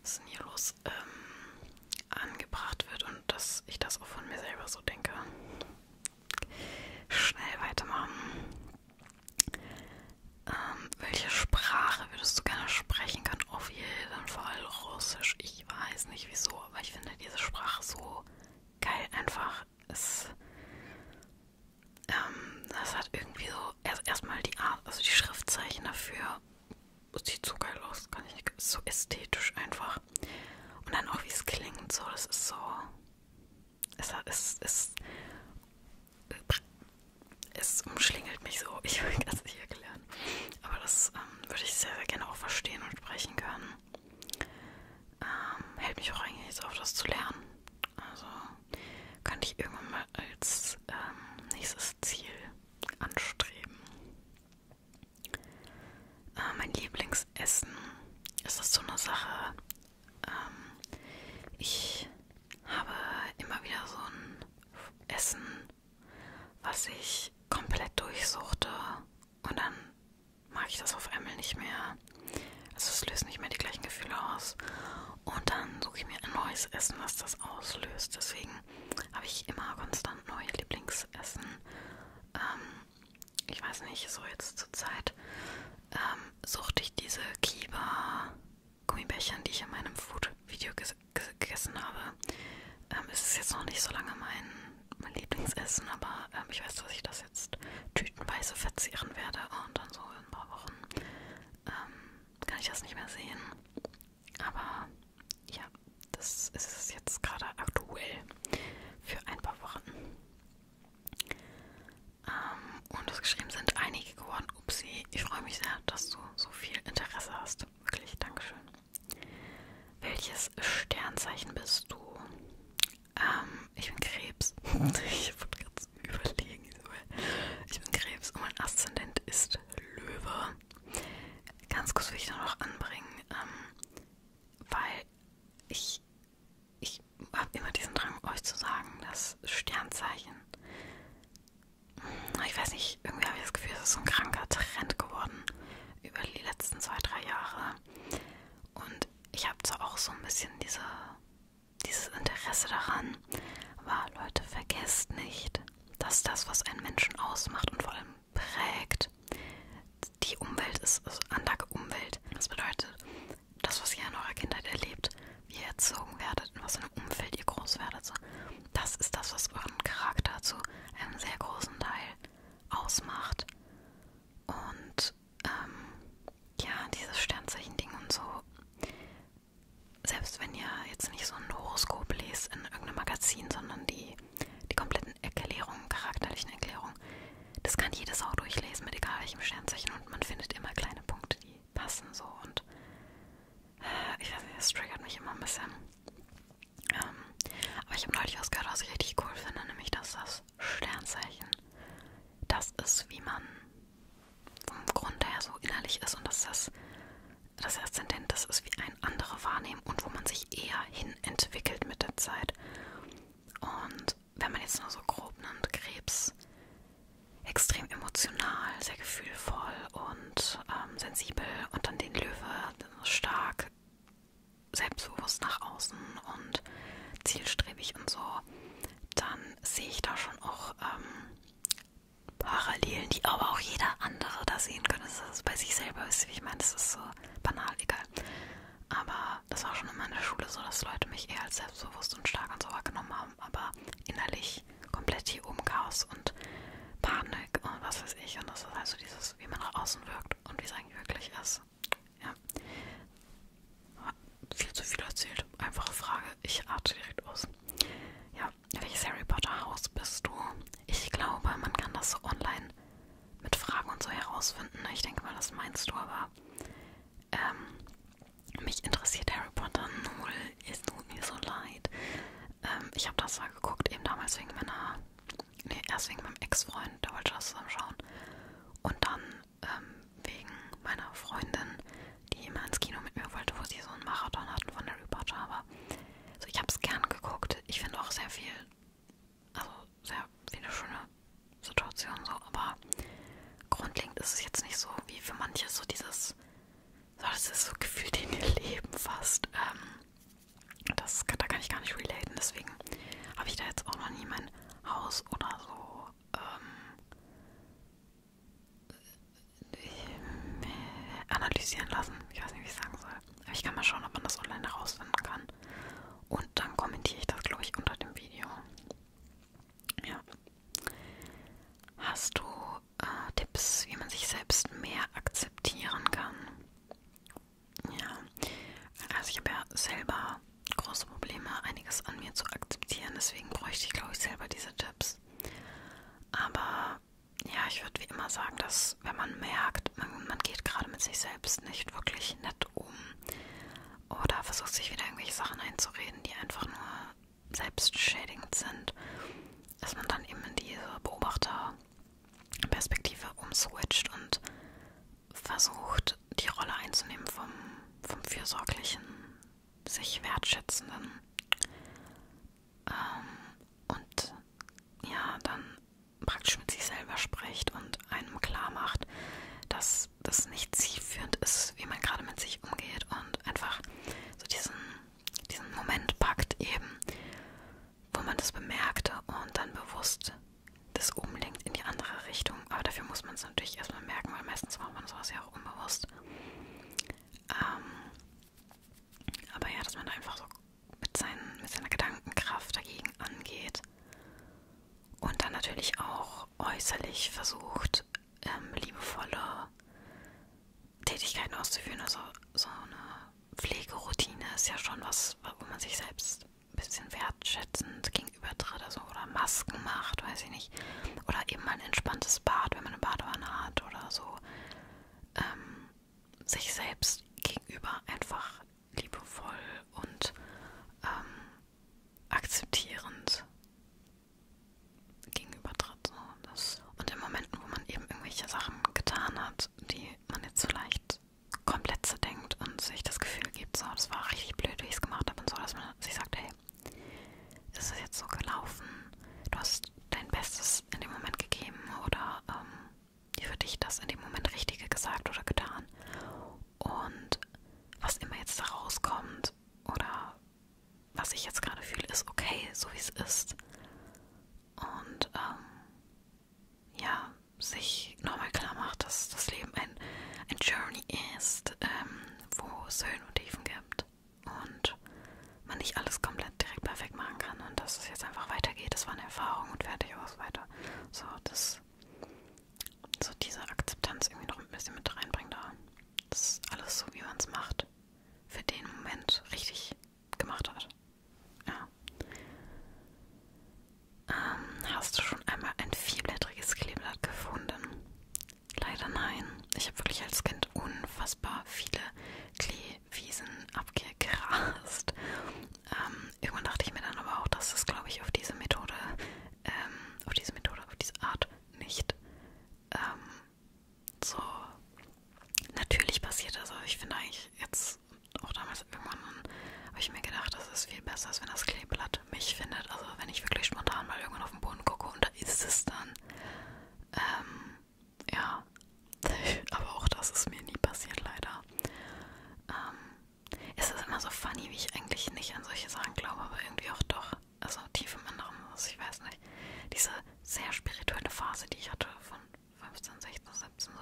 was ist denn hier los, ähm, angebracht wird und dass ich das auch von mir selber so denke. Schnell weitermachen. Ähm, welche Sprache würdest du gerne sprechen können? Auf jeden Fall Russisch. Ich weiß nicht wieso, aber ich finde diese Sprache so geil einfach. Es ähm, das hat irgendwie so erst erstmal die Art, also die Schriftzeichen dafür sieht so geil aus, kann ich nicht, ist so ästhetisch einfach. Und dann auch wie es klingt, so, das ist so, es ist, es, es, es umschlingelt mich so, ich will das nicht erklären. Aber das ähm, würde ich sehr, sehr gerne auch verstehen und sprechen können. Ähm, hält mich auch eigentlich auf, das zu lernen. Also könnte ich irgendwann mal als ähm, nächstes Ziel anstreben. Äh, mein Lieblingsessen ist das so eine Sache. Ähm, ich habe immer wieder so ein Essen, was ich komplett durchsuchte und dann mag ich das auf einmal nicht mehr. Also es löst nicht mehr die gleichen Gefühle aus. Und dann suche ich mir ein neues Essen, was das auslöst. Deswegen habe ich immer konstant neue Lieblingsessen. Ähm, ich weiß nicht, so jetzt zur Zeit ähm, suchte ich diese Kiba-Gummibärchen, die ich in meinem Food-Video ges ges gegessen habe. Ähm, es ist jetzt noch nicht so lange mein, mein Lieblingsessen, aber ähm, ich weiß, dass ich das jetzt tütenweise verzehren werde und dann so in ein paar Wochen ähm, kann ich das nicht mehr sehen. Aber ja, das ist es jetzt gerade aktuell für ein paar Wochen. Ähm, und das geschrieben sind einige geworden. Upsi, ich freue mich sehr, dass du so viel Interesse hast. Wirklich, Dankeschön. Welches Sternzeichen bist du? Ähm, ich bin Krebs. ich wollte gerade kurz überlegen. Ich bin Krebs und mein Aszendent ist Löwe. Ganz kurz will ich da noch anbringen, ähm, weil ich, ich habe immer diesen Drang, euch zu sagen, dass Sternzeichen, ich weiß nicht, irgendwie habe ich das Gefühl, es ist so ein kranker Trend geworden über die letzten zwei, drei Jahre. Und ich habe zwar auch so ein bisschen diese dieses Interesse daran war, Leute, vergesst nicht, dass das, was einen Menschen ausmacht und vor allem prägt, die Umwelt ist, also Anlage Umwelt. Das bedeutet, das, was ihr in eurer Kindheit erlebt, wie ihr erzogen werdet, in was für einem Umfeld ihr groß werdet, so, das ist das, was euren Charakter zu einem sehr großen Teil ausmacht. Und ähm, ja, dieses Sternzeichen-Ding und so selbst wenn ihr jetzt nicht so ein Horoskop lest in irgendeinem Magazin, sondern die, die kompletten Erklärungen, charakterlichen Erklärungen, das kann jedes auch durchlesen mit egal welchem Sternzeichen und man findet immer kleine Punkte, die passen so und äh, ich weiß nicht, das triggert mich immer ein bisschen. Ähm, aber ich habe neulich was gehört, was ich richtig cool finde, nämlich dass das Sternzeichen das ist, wie man vom Grund her so innerlich ist und dass das, das Aszendent, das ist wie ein andere Wahrnehmen und wo man sich eher hin entwickelt mit der Zeit. Und wenn man jetzt nur so grob nimmt, Krebs extrem emotional, sehr gefühlvoll und ähm, sensibel und dann den Löwe stark, selbstbewusst nach außen und zielstrebig und so, dann sehe ich da schon auch ähm, Parallelen, die aber auch jeder andere da sehen kann, dass das bei sich selber ist. Wie ich meine, das ist so banal, egal. Aber das war schon in meiner Schule so, dass Leute mich eher als selbstbewusst und stark und so wahrgenommen haben, aber innerlich komplett hier oben Chaos und Panik und was weiß ich. Und das ist also dieses, wie man nach außen wirkt und wie es eigentlich wirklich ist. Ja. Viel zu viel erzählt. Einfache Frage. Ich atme direkt aus. Ja, welches Harry Potter Haus bist du? Ich glaube, man kann das so online mit Fragen und so herausfinden. Ich denke mal, das meinst du, aber ähm, mich interessiert Harry Potter null. Es tut mir so leid. Ähm, ich habe das mal geguckt, eben damals wegen meiner, nee, erst wegen meinem Ex-Freund, der wollte das zusammen schauen. Und dann ähm, wegen meiner Freundin, die immer ins Kino mit mir wollte, wo sie so einen Marathon hatten von Harry Potter. Aber so, ich habe es gern geguckt. Ich finde auch sehr viel, also sehr viele schöne Situationen so. Aber grundlegend ist es jetzt nicht so wie für manche so dieses, so das ist so gefühlt in ihr Leben fast. Ähm, das da kann ich gar nicht relaten. Deswegen habe ich da jetzt auch noch nie mein Haus oder so ähm, analysieren lassen. Ich weiß nicht, wie ich sagen soll. Aber ich kann mal schauen, ob man das online herausfinden kann. Und dann kommentiere ich das, glaube ich, unter dem Video. Ja. Hast du äh, Tipps, wie man sich selbst mehr akzeptieren kann? Ja. Also ich habe ja selber große Probleme, einiges an mir zu akzeptieren. Deswegen bräuchte ich, glaube ich, selber diese Tipps. Aber ja, ich würde wie immer sagen, dass wenn man merkt, man, man geht gerade mit sich selbst nicht wirklich nett um oder versucht sich wieder irgendwelche Sachen einzureden, die einfach nur selbstschädigend sind, dass man dann eben in diese Beobachterperspektive umswitcht und versucht, die Rolle einzunehmen vom, vom fürsorglichen, sich wertschätzenden ähm, und ja, dann praktisch mit sich selber spricht und einem klar macht, dass das nicht zielführend ist, wie man gerade mit sich umgeht und einfach so diesen, diesen Moment packt eben, wo man das bemerkte und dann bewusst das umlenkt in die andere Richtung. Aber dafür muss man es natürlich erstmal merken, weil meistens macht man sowas ja auch unbewusst. Ähm, aber ja, dass man da einfach so mit, seinen, mit seiner Gedankenkraft dagegen angeht. Und dann natürlich auch äußerlich versucht, ähm, liebevolle Tätigkeiten auszuführen. Also so eine Pflegeroutine ist ja schon was, wo man sich selbst ein bisschen wertschätzend gegenübertritt. Also, oder Masken macht, weiß ich nicht. Oder eben mal ein entspanntes Bad, wenn man eine Badewanne hat oder so ähm, sich selbst gegenüber einfach liebevoll und ähm, akzeptierend gegenübertritt. So. Und in Momenten, wo man eben irgendwelche Sachen getan hat, die man jetzt vielleicht komplett zerdenkt und sich das Gefühl gibt, so, das war richtig blöd, wie ich es gemacht habe und so, dass man sich sagt, hey, ist es jetzt so gelaufen? Du hast dein Bestes in dem Moment gegeben oder ähm, für dich das in dem Moment Richtige gesagt oder getan. Und was immer jetzt da rauskommt oder was ich jetzt gerade fühle, ist okay, so wie es ist. Und ähm, ja, sich nochmal klar macht, dass das Leben ein, ein Journey ist, ähm, wo es Höhen und Tiefen gibt hat und man nicht alles komplett direkt perfekt machen kann und dass es jetzt einfach weitergeht. Das war eine Erfahrung und fertig aus weiter. So, das so diese Akzeptanz irgendwie noch ein bisschen mit reinbringen da. Das ist alles so, wie man es macht. Für den Moment richtig gemacht hat. Ja. Ähm, hast du schon einmal ein vierblättriges Kleeblatt gefunden? Leider nein. Ich habe wirklich als Kind unfassbar viele Kleewiesen abgegrast. Ähm, irgendwann dachte ich mir dann aber auch, dass das, glaube ich, auf diese Methode, ähm, auf diese Methode, auf diese Art nicht ähm, so natürlich passiert. Also ich finde eigentlich jetzt auch damals irgendwann habe ich mir gedacht, das ist viel besser, als wenn das Kleeblatt mich findet. Also wenn ich wirklich spontan mal irgendwann auf den Boden gucke und da ist es dann. Ähm, ja, aber auch das ist mir nie passiert, leider. Ähm, es ist immer so funny, wie ich eigentlich nicht an solche Sachen glaube, aber irgendwie auch doch. Also tief im Inneren, also ich weiß nicht. Diese sehr spirituelle Phase, die ich hatte von 15, 16, 17, so,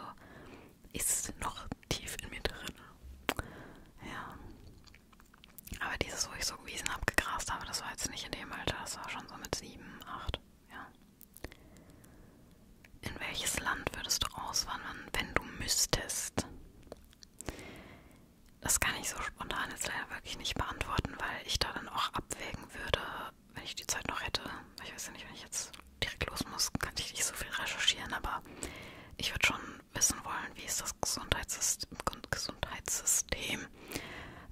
ist noch tief in mir drin. Ja. Aber dieses, wo ich so Wiesen abgegrast habe, das war jetzt nicht in dem Alter, das war schon so mit 7, 8. Ja. In welches Land würdest du auswandern, wenn du müsstest? Das kann ich so spontan jetzt leider wirklich nicht beantworten, weil ich da dann auch abwägen würde, wenn ich die Zeit noch hätte. Ich weiß ja nicht, wenn ich jetzt direkt los muss, kann ich nicht so viel recherchieren, aber ich würde schon wissen wollen, wie ist das Gesundheitssystem, Gesundheitssystem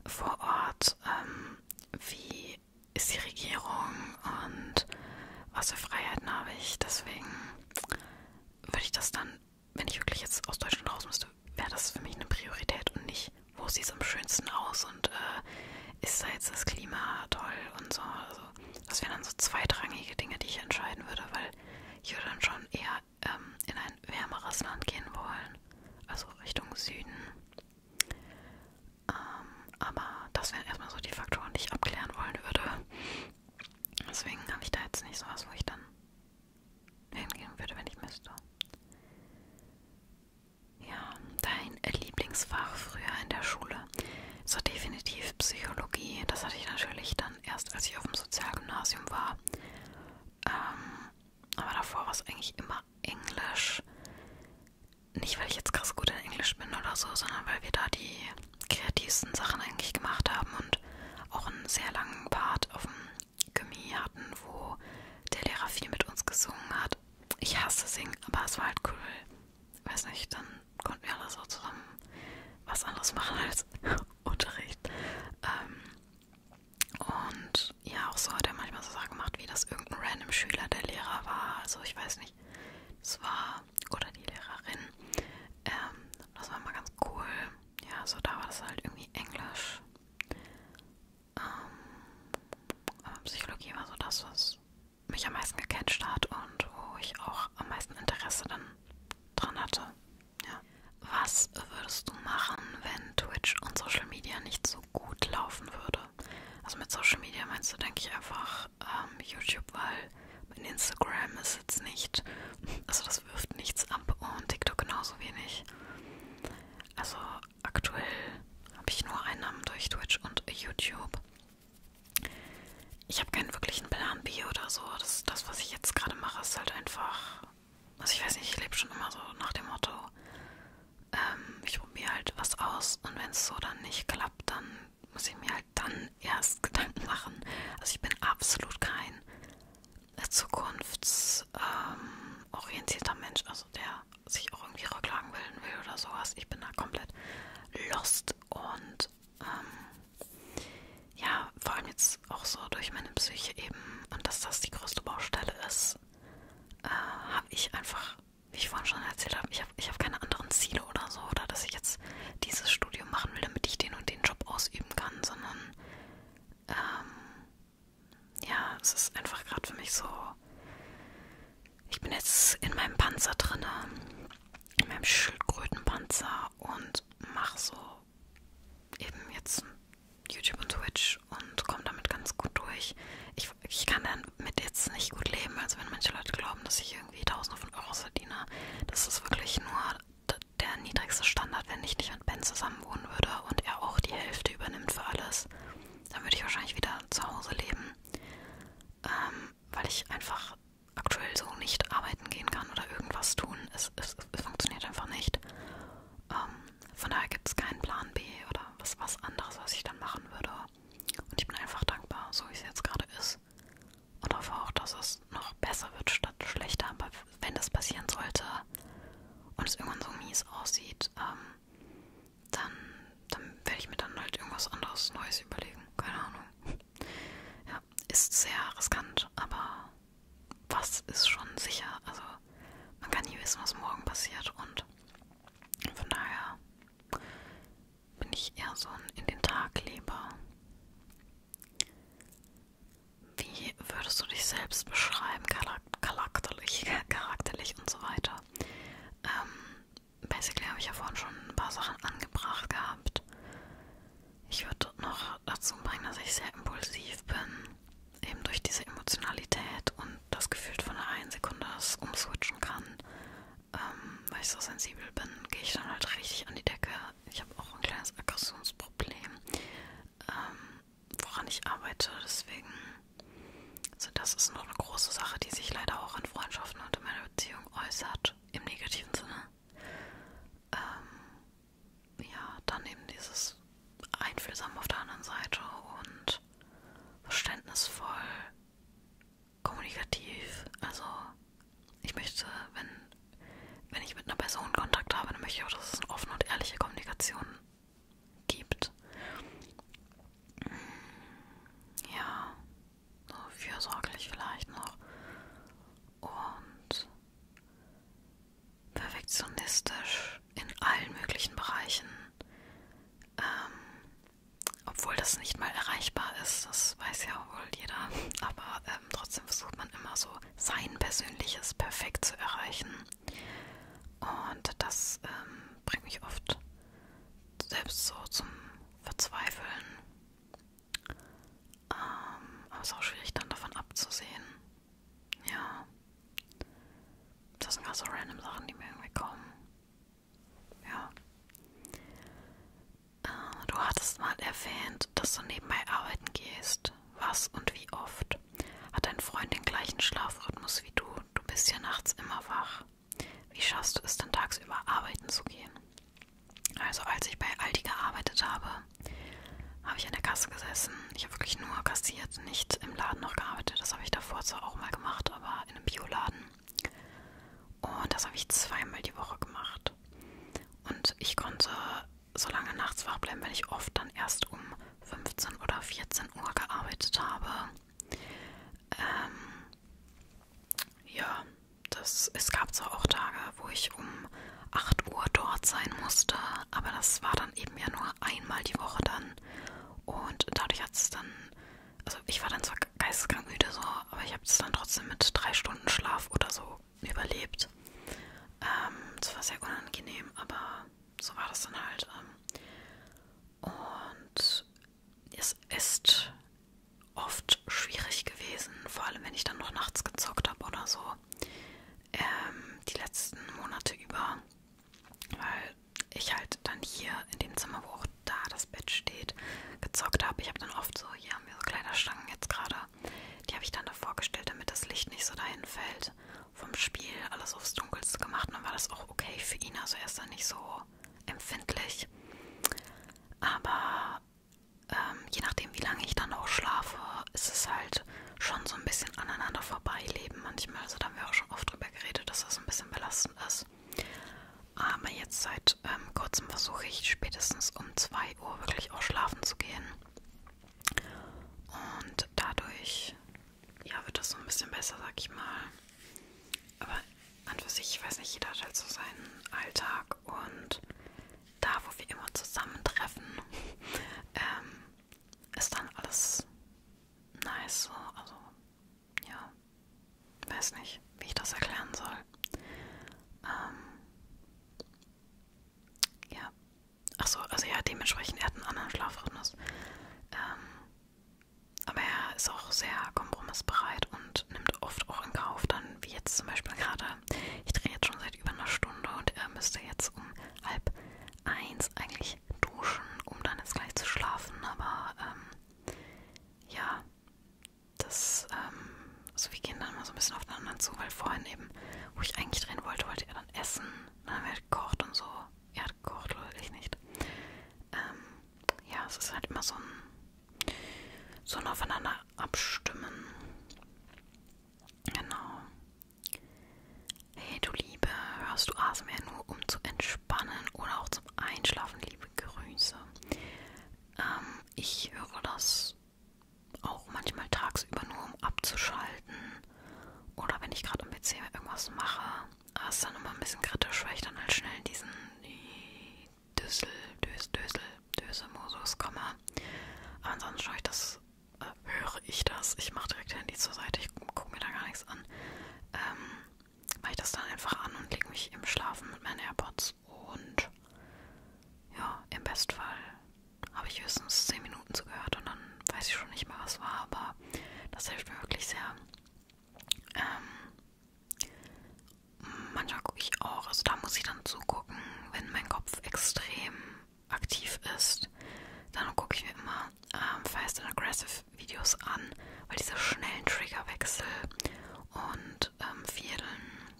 vor Ort, ähm, wie ist die Regierung und was für Freiheiten habe ich. Deswegen würde ich das dann, wenn ich wirklich jetzt aus Deutschland raus müsste, wäre das für mich eine Priorität und nicht, wo sieht es am schönsten aus und äh, ist da jetzt das Klima toll und so. Also, das wären dann so zweitrangige Dinge, die ich entscheiden würde, weil ich würde dann schon eher ähm, in ein wärmeres Land gehen wollen. Also Richtung Süden. Ähm, aber das wären erstmal so die Faktoren, die ich abklären wollen würde. Deswegen habe ich da jetzt nicht sowas, wo ich dann hingehen würde, wenn ich müsste. Ja, dein Lieblingsfach früher in der Schule ist doch definitiv Psychologie. Das hatte ich natürlich dann erst, als ich auf dem Sozialgymnasium war. Ähm, aber davor war es eigentlich immer Englisch. Nicht, weil ich jetzt krass gut in Englisch bin oder so, sondern weil wir da die kreativsten Sachen eigentlich gemacht haben und auch einen sehr langen Part auf dem Gimmi hatten, wo der Lehrer viel mit uns gesungen hat. Ich hasse singen, aber es war halt cool. Weiß nicht, dann konnten wir alle so zusammen was anderes machen als Unterricht. Ähm, und ja, auch so hat er manchmal so Sachen gemacht, wie dass irgendein random Schüler der Lehrer war. Also ich weiß nicht, es war, oder die Lehrerin. Ähm, das war mal ganz cool. Ja, so da war das halt irgendwie Englisch. Ähm, Psychologie war so das, was mich am meisten gecatcht hat und wo ich auch am meisten Interesse dann dran hatte. Ja. Was würdest du machen, wenn Twitch und Social Media nicht so gut laufen würde? Also mit Social Media meinst du, denke ich, einfach ähm, YouTube, weil in Instagram ist jetzt nicht, also das wirft nichts ab und TikTok genauso wenig. Also aktuell habe ich nur Einnahmen durch Twitch und YouTube. Ich habe keinen wirklichen Plan B oder so. Das, das was ich jetzt gerade mache, ist halt einfach. Also ich weiß nicht, ich lebe schon immer so nach dem Motto, ähm, ich probiere halt was aus und wenn es so dann nicht klappt, dann muss ich mir halt dann erst Gedanken machen. Also ich bin absolut kein äh, zukunftsorientierter ähm, Mensch, also der sich auch irgendwie Rücklagen bilden will oder sowas. Ich bin da komplett lost und ähm, ja, vor allem jetzt auch so durch meine Psyche eben und dass das die größte Baustelle ist, äh, habe ich einfach, wie ich vorhin schon erzählt habe, ich habe ich hab keine anderen Ziele oder so, oder dass ich jetzt dieses Studium machen will, damit ich den und den Job ausüben kann, sondern ähm, ja, es ist einfach gerade für mich so, ich bin jetzt in meinem Panzer drinne, in meinem Schildkrötenpanzer und mache so eben jetzt YouTube und Twitch und komme damit ganz gut durch. Ich, ich kann damit jetzt nicht gut leben, also wenn manche Leute glauben, dass ich irgendwie tausende von Euros verdiene, das ist wirklich nur der niedrigste Standard, wenn ich nicht mit Ben zusammen wohnen würde und er auch die Hälfte übernimmt für alles. Dann würde ich wahrscheinlich wieder zu Hause leben, ähm, weil ich einfach aktuell so nicht arbeiten gehen kann oder irgendwas tun. Es, es, es funktioniert einfach nicht. Ähm, von daher gibt es keinen Plan B oder was, was anderes, was ich dann machen würde. Und ich bin einfach dankbar, so wie es jetzt gerade ist. Und hoffe auch, dass es noch besser wird statt schlechter. Aber wenn das passieren sollte und es irgendwann so mies aussieht, ähm, dann, dann werde ich mir dann halt irgendwas anderes Neues überlegen. Keine Ahnung. Ja, ist sehr riskant, aber was ist schon sicher? Also man kann nie wissen, was morgen passiert und von daher bin ich eher so ein in den Tag leber. Wie würdest du dich selbst beschreiben, charakterlich, charakterlich und so weiter? Ähm, basically habe ich ja vorhin schon ein paar Sachen angebracht gehabt. Ich würde noch dazu bringen, dass ich sehr impulsiv bin eben durch diese Emotionalität und das Gefühl von der einen Sekunde das umswitchen kann, ähm, weil ich so sensibel bin, gehe ich dann halt richtig an die Decke. Ich habe auch ein kleines Aggressionsproblem, ähm, woran ich arbeite. Deswegen, also das ist noch eine große Sache, die sich leider auch in Freundschaften und in meiner Beziehung äußert, im negativen Sinne. Ähm, ja, dann eben dieses Einfühlsam auf der anderen Seite und und verständnisvoll, kommunikativ. Also ich möchte, wenn, wenn ich mit einer Person Kontakt habe, dann möchte ich auch, dass es eine offene und ehrliche Kommunikation gibt. Mm, ja, so fürsorglich vielleicht noch. Und perfektionistisch in allen möglichen Bereichen. Ähm, obwohl das nicht mal erreichbar ist, das weiß ja wohl jeder, aber ähm, trotzdem versucht man immer so sein persönliches Perfekt zu erreichen. Und das ähm, bringt mich oft selbst so zum Verzweifeln. Ähm, aber es ist auch schwierig, dann davon abzusehen. Ja. Das sind gerade so random Sachen, die mir irgendwie kommen. Ja. Äh, du hattest mal erwähnt, dass du nebenbei arbeiten gehst. Was und wie oft? Hat dein Freund den gleichen Schlafrhythmus wie du? Du bist ja nachts immer wach. Wie schaffst du es dann tagsüber arbeiten zu gehen? Also als ich bei Aldi gearbeitet habe, habe ich an der Kasse gesessen. Ich habe wirklich nur kassiert, nicht im Laden noch gearbeitet. Das habe ich davor zwar auch mal gemacht, aber war in einem Bioladen. Und das habe ich zweimal die Woche gemacht. Und ich konnte so lange nachts wach bleiben, weil ich oft dann erst um 15 oder 14 Uhr gearbeitet habe. Ähm, ja, das, es gab zwar auch Tage, wo ich um 8 Uhr dort sein musste, aber das war dann eben ja nur einmal die Woche dann. Und dadurch hat es dann also ich war dann zwar geisteskrank müde so, aber ich habe es dann trotzdem mit drei Stunden Schlaf oder so überlebt. Ähm, das war sehr unangenehm, aber so war das dann halt. Ähm, und es ist oft schwierig gewesen, vor allem wenn ich dann noch nachts gezockt habe oder so, ähm, die letzten Monate über weil ich halt dann hier in dem Zimmer, wo auch da das Bett steht, gezockt habe. Ich habe dann oft so, hier haben wir so Kleiderstangen jetzt gerade, die habe ich dann davor gestellt, damit das Licht nicht so dahin fällt. Vom Spiel alles aufs Dunkelste gemacht und dann war das auch okay für ihn, also er ist dann nicht so empfindlich. Aber ähm, je nachdem, wie lange ich dann auch schlafe, ist es halt schon so ein bisschen aneinander vorbeileben manchmal. Also da haben wir auch schon oft drüber geredet, dass das ein bisschen belastend ist ist. Aber jetzt seit ähm, kurzem versuche ich spätestens um 2 Uhr wirklich auch schlafen zu gehen. Und dadurch ja, wird das so ein bisschen besser, sag ich mal. Aber an für sich, ich weiß nicht, jeder hat halt so seinen Alltag und da, wo wir immer zusammentreffen, ähm, ist dann alles nice so. Also ja, weiß nicht, wie ich das erklären soll. Ähm, ja, ach so, also ja, dementsprechend, er hat einen anderen Schlafrhythmus. Ähm, aber er ist auch sehr kompromissbereit und nimmt oft auch in Kauf, dann wie jetzt zum Beispiel gerade, ich drehe jetzt schon seit über einer Stunde und er müsste jetzt um halb eins eigentlich nicht duschen, um dann jetzt gleich zu schlafen, aber ähm, ja, das, ähm, also wir gehen dann mal so ein bisschen aufeinander zu, weil vorhin eben, wo ich eigentlich drehen wollte, wollte er dann essen, dann haben wir gekocht und so. Er hat gekocht oder ich nicht. Ähm, ja, es ist halt immer so ein, so ein Aufeinander abstimmen. Genau. Hey, du Liebe, hörst du ASMR nur, um zu entspannen oder auch zum zum Einschlafen, liebe Grüße. Ähm, ich höre das auch manchmal tagsüber nur, um abzuschalten. Oder wenn ich gerade am PC irgendwas mache. Das ah, ist dann immer ein bisschen kritisch, weil ich dann halt schnell in diesen Düssel, Dös, Dösel, Döse-Mosus komme. Aber ansonsten schaue ich das, äh, höre ich das. Ich mache direkt Handy zur Seite, ich gucke mir da gar nichts an. Ähm, mache ich das dann einfach an und lege mich im Schlafen mit meinen AirPods. Und ja, im Bestfall habe ich höchstens 10 Minuten zugehört und dann weiß ich schon nicht mehr, was war, aber das hilft mir wirklich sehr. Ähm, manchmal gucke ich auch, also da muss ich dann zugucken, wenn mein Kopf extrem aktiv ist, dann gucke ich mir immer ähm, Fast and Aggressive Videos an, weil diese schnellen Triggerwechsel und ähm, vielen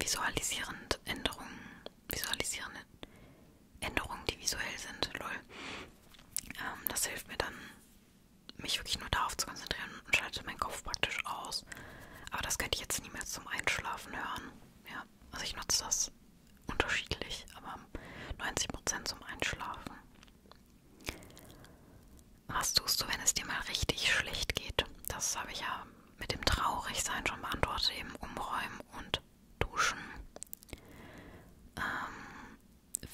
visualisierend Änderungen, visualisierende Änderungen, die visuell sind, lol. Ähm, das hilft mir dann, mich wirklich nur darauf zu konzentrieren und schalte meinen Kopf praktisch aus. Aber das könnte ich jetzt niemals zum Einschlafen hören. Ja, also ich nutze das unterschiedlich, aber 90% zum Einschlafen. Was tust du, wenn es dir mal richtig schlecht geht? Das habe ich ja mit dem Traurigsein schon beantwortet, eben umräumen und duschen. Ähm,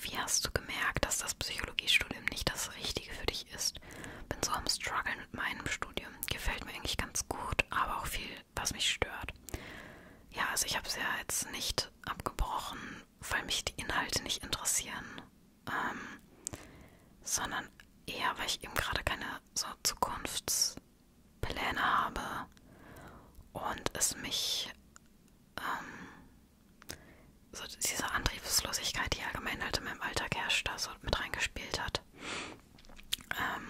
wie hast du gemerkt, dass das Psychologiestudium nicht das Richtige für dich ist? Bin so am Struggeln mit meinem Studium. Gefällt mir eigentlich ganz gut, aber auch viel, was mich stört. Ja, also ich habe es ja jetzt nicht abgebrochen, weil mich die Inhalte nicht interessieren, ähm, sondern eher, weil ich eben gerade keine so Zukunftspläne habe und es mich ähm, so diese Antriebslosigkeit, die allgemein halt in meinem Alltag herrscht, da so mit reingespielt hat. Ähm,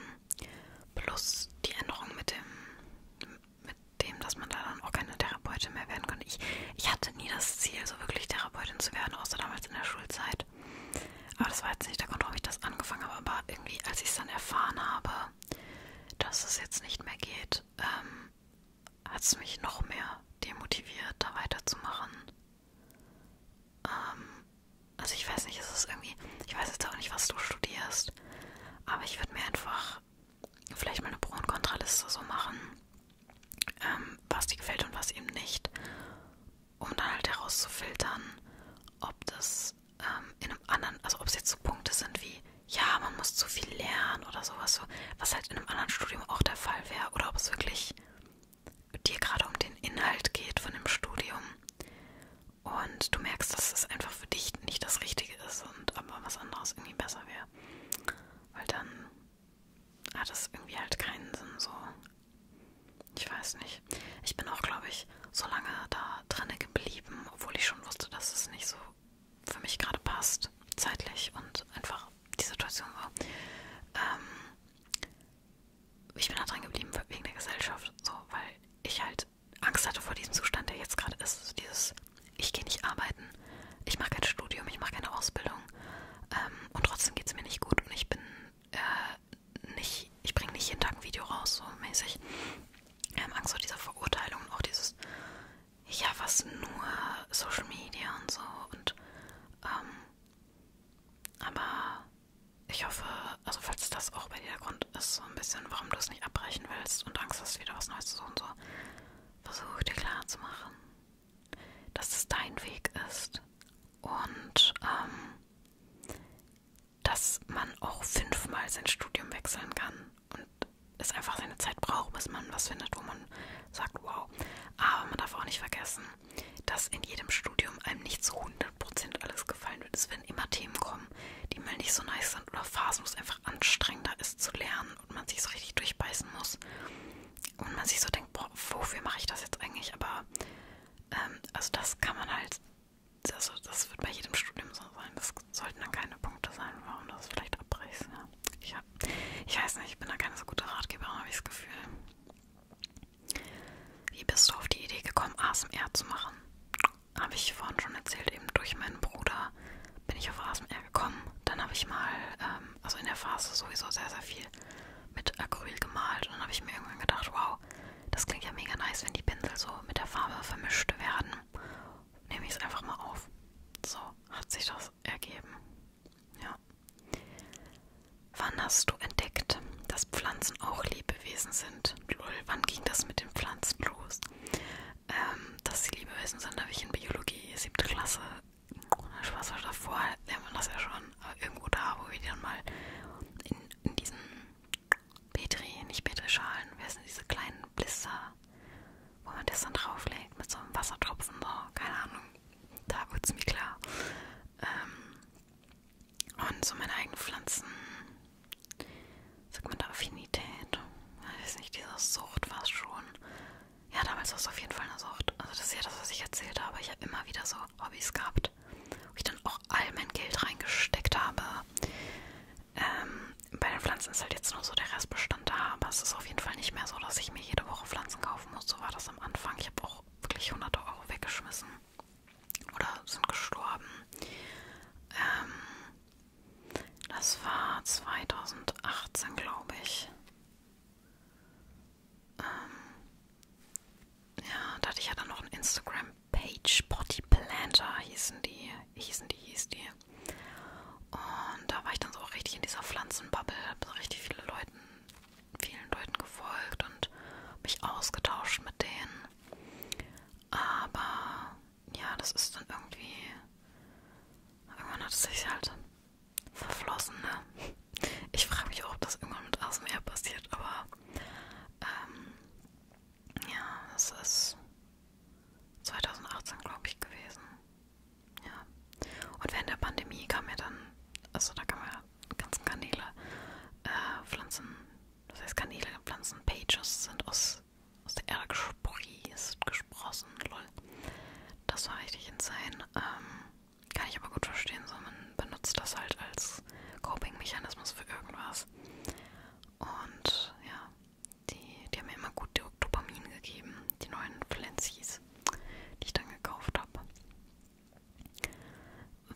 plus die Änderung mit dem mit dem, dass man da dann auch keine Therapeutin mehr werden konnte. Ich, ich hatte nie das Ziel, so wirklich Therapeutin zu werden, außer damals in der Schulzeit. Aber das war jetzt nicht der Grund, warum ich das angefangen habe. Aber irgendwie, als ich es dann erfahren habe, dass es jetzt nicht mehr geht, ähm, hat es mich noch mehr demotiviert, da weiterzumachen. Ähm, also ich weiß nicht, es ist irgendwie, ich weiß jetzt auch nicht, was du studierst, aber ich würde mir einfach vielleicht mal eine Pro- und Kontraliste so machen, ähm, was dir gefällt und was eben nicht, um dann halt herauszufiltern, ob das ähm, in einem anderen, also ob es jetzt so Punkte sind wie, ja, man muss zu viel lernen oder sowas, so, was halt in einem anderen Studium auch der Fall wäre, oder ob es wirklich dir gerade um den Inhalt geht von dem Studium und du merkst, dass es einfach für dich nicht das Richtige ist und aber was anderes irgendwie besser wäre mehr. Weil dann hat es irgendwie halt keinen Sinn so. Ich weiß nicht. Ich bin auch, glaube ich, so lange da drinne geblieben, obwohl ich schon wusste, dass es nicht so für mich gerade passt, zeitlich und einfach die Situation war. Ähm, ich bin da drin geblieben wegen der Gesellschaft, so, weil ich halt Angst hatte vor diesem Zustand, der jetzt gerade ist. Also dieses ich gehe nicht arbeiten, ich mache kein Studium, ich mache keine Ausbildung ähm, und trotzdem geht es mir nicht gut und ich bin äh, nicht, ich bringe nicht jeden Tag ein Video raus, so mäßig. Ähm, Angst vor dieser Verurteilung und auch dieses, ja, was nur Social Media und so und ähm, aber ich hoffe, also falls das auch bei dir der Grund ist, so ein bisschen, warum du es nicht abbrechen willst und Angst hast, wieder was Neues zu suchen, so versuche dir klarzumachen, dass es dein Weg ist und ähm, dass man auch fünfmal sein Studium wechseln kann und es einfach seine Zeit braucht, bis man was findet, wo man sagt, wow. Aber man darf auch nicht vergessen, dass in jedem Studium einem nicht zu 100% alles gefallen wird. Es werden immer Themen kommen, die mal nicht so nice sind oder Phasen, wo es einfach anstrengender ist zu lernen und man sich so richtig durchbeißen muss und man sich so denkt, boah, wofür mache ich das jetzt eigentlich? Aber ähm, also das kann man halt, also das wird bei jedem Studium so sein. Das sollten dann keine Punkte sein, warum das vielleicht abbrichst. Ja. Ich, hab, ich weiß nicht, ich bin da keine so gute Ratgeberin, habe ich das Gefühl. Wie bist du auf die Idee gekommen, ASMR zu machen? Habe ich vorhin schon erzählt, eben durch meinen Bruder bin ich auf ASMR gekommen. Dann habe ich mal, ähm, also in der Phase sowieso sehr, sehr viel mit Acryl gemalt. Und dann habe ich mir irgendwann gedacht, wow, das klingt ja mega nice, wenn die Pinsel so mit der Farbe vermischt werden. Nehme ich es einfach mal auf. So hat sich das ergeben. Ja. Wann hast du entdeckt, dass Pflanzen auch Lebewesen sind? Lul, wann ging das mit den Pflanzen los? ähm, dass sie Liebewesen sind, habe ich in Biologie, siebte Klasse, Spaß war davor, lernt man das ja schon, aber irgendwo da, wo wir dann mal in, in diesen Petri, nicht Petri-Schalen, wer sind diese kleinen Blister, wo man das dann drauflegt mit so einem Wassertropfen, so, keine Ahnung, da wurde es mir klar. Ähm, und so meine eigenen Pflanzen, sagt man da Affinität, ich weiß nicht, diese Sucht war es schon ja, damals war es auf jeden Fall eine Sucht. Also das ist ja das, was ich erzählt habe. Ich habe immer wieder so Hobbys gehabt, wo ich dann auch all mein Geld reingesteckt habe. Ähm, bei den Pflanzen ist halt jetzt nur so der Restbestand da, aber es ist auf jeden Fall nicht mehr so, dass ich mir jede Woche Pflanzen kaufen muss. So war das am Anfang. Ich habe auch wirklich hunderte Euro weggeschmissen oder sind gestorben. Ähm, das war 2018, glaube ich. Ähm ja, da hatte ich ja dann noch ein Instagram-Page, Body Planter hießen die, hießen die, hieß die. Und da war ich dann so auch richtig in dieser Pflanzenbubble, habe richtig viele Leuten, vielen Leuten gefolgt und mich ausgetauscht mit denen. Aber ja, das ist dann irgendwie. Irgendwann hat es sich halt verflossen, ne? Ich frage mich auch, ob das irgendwann mit ASMR passiert, aber ähm, ja, das ist 2018, glaube ich, gewesen. Ja. Und während der Pandemie kam ja dann, also da kam ja ganzen Kanäle, äh, Pflanzen, das heißt Kanäle, Pflanzenpages sind aus, aus der Erde gesprießt, gesprossen, lol. Das war richtig insane. Ähm, kann ich aber gut verstehen, so man benutzt das halt als Coping-Mechanismus für irgendwas. Und ja, die, die haben mir immer gut Dopamin gegeben, die neuen Pflanzis, die ich dann gekauft habe.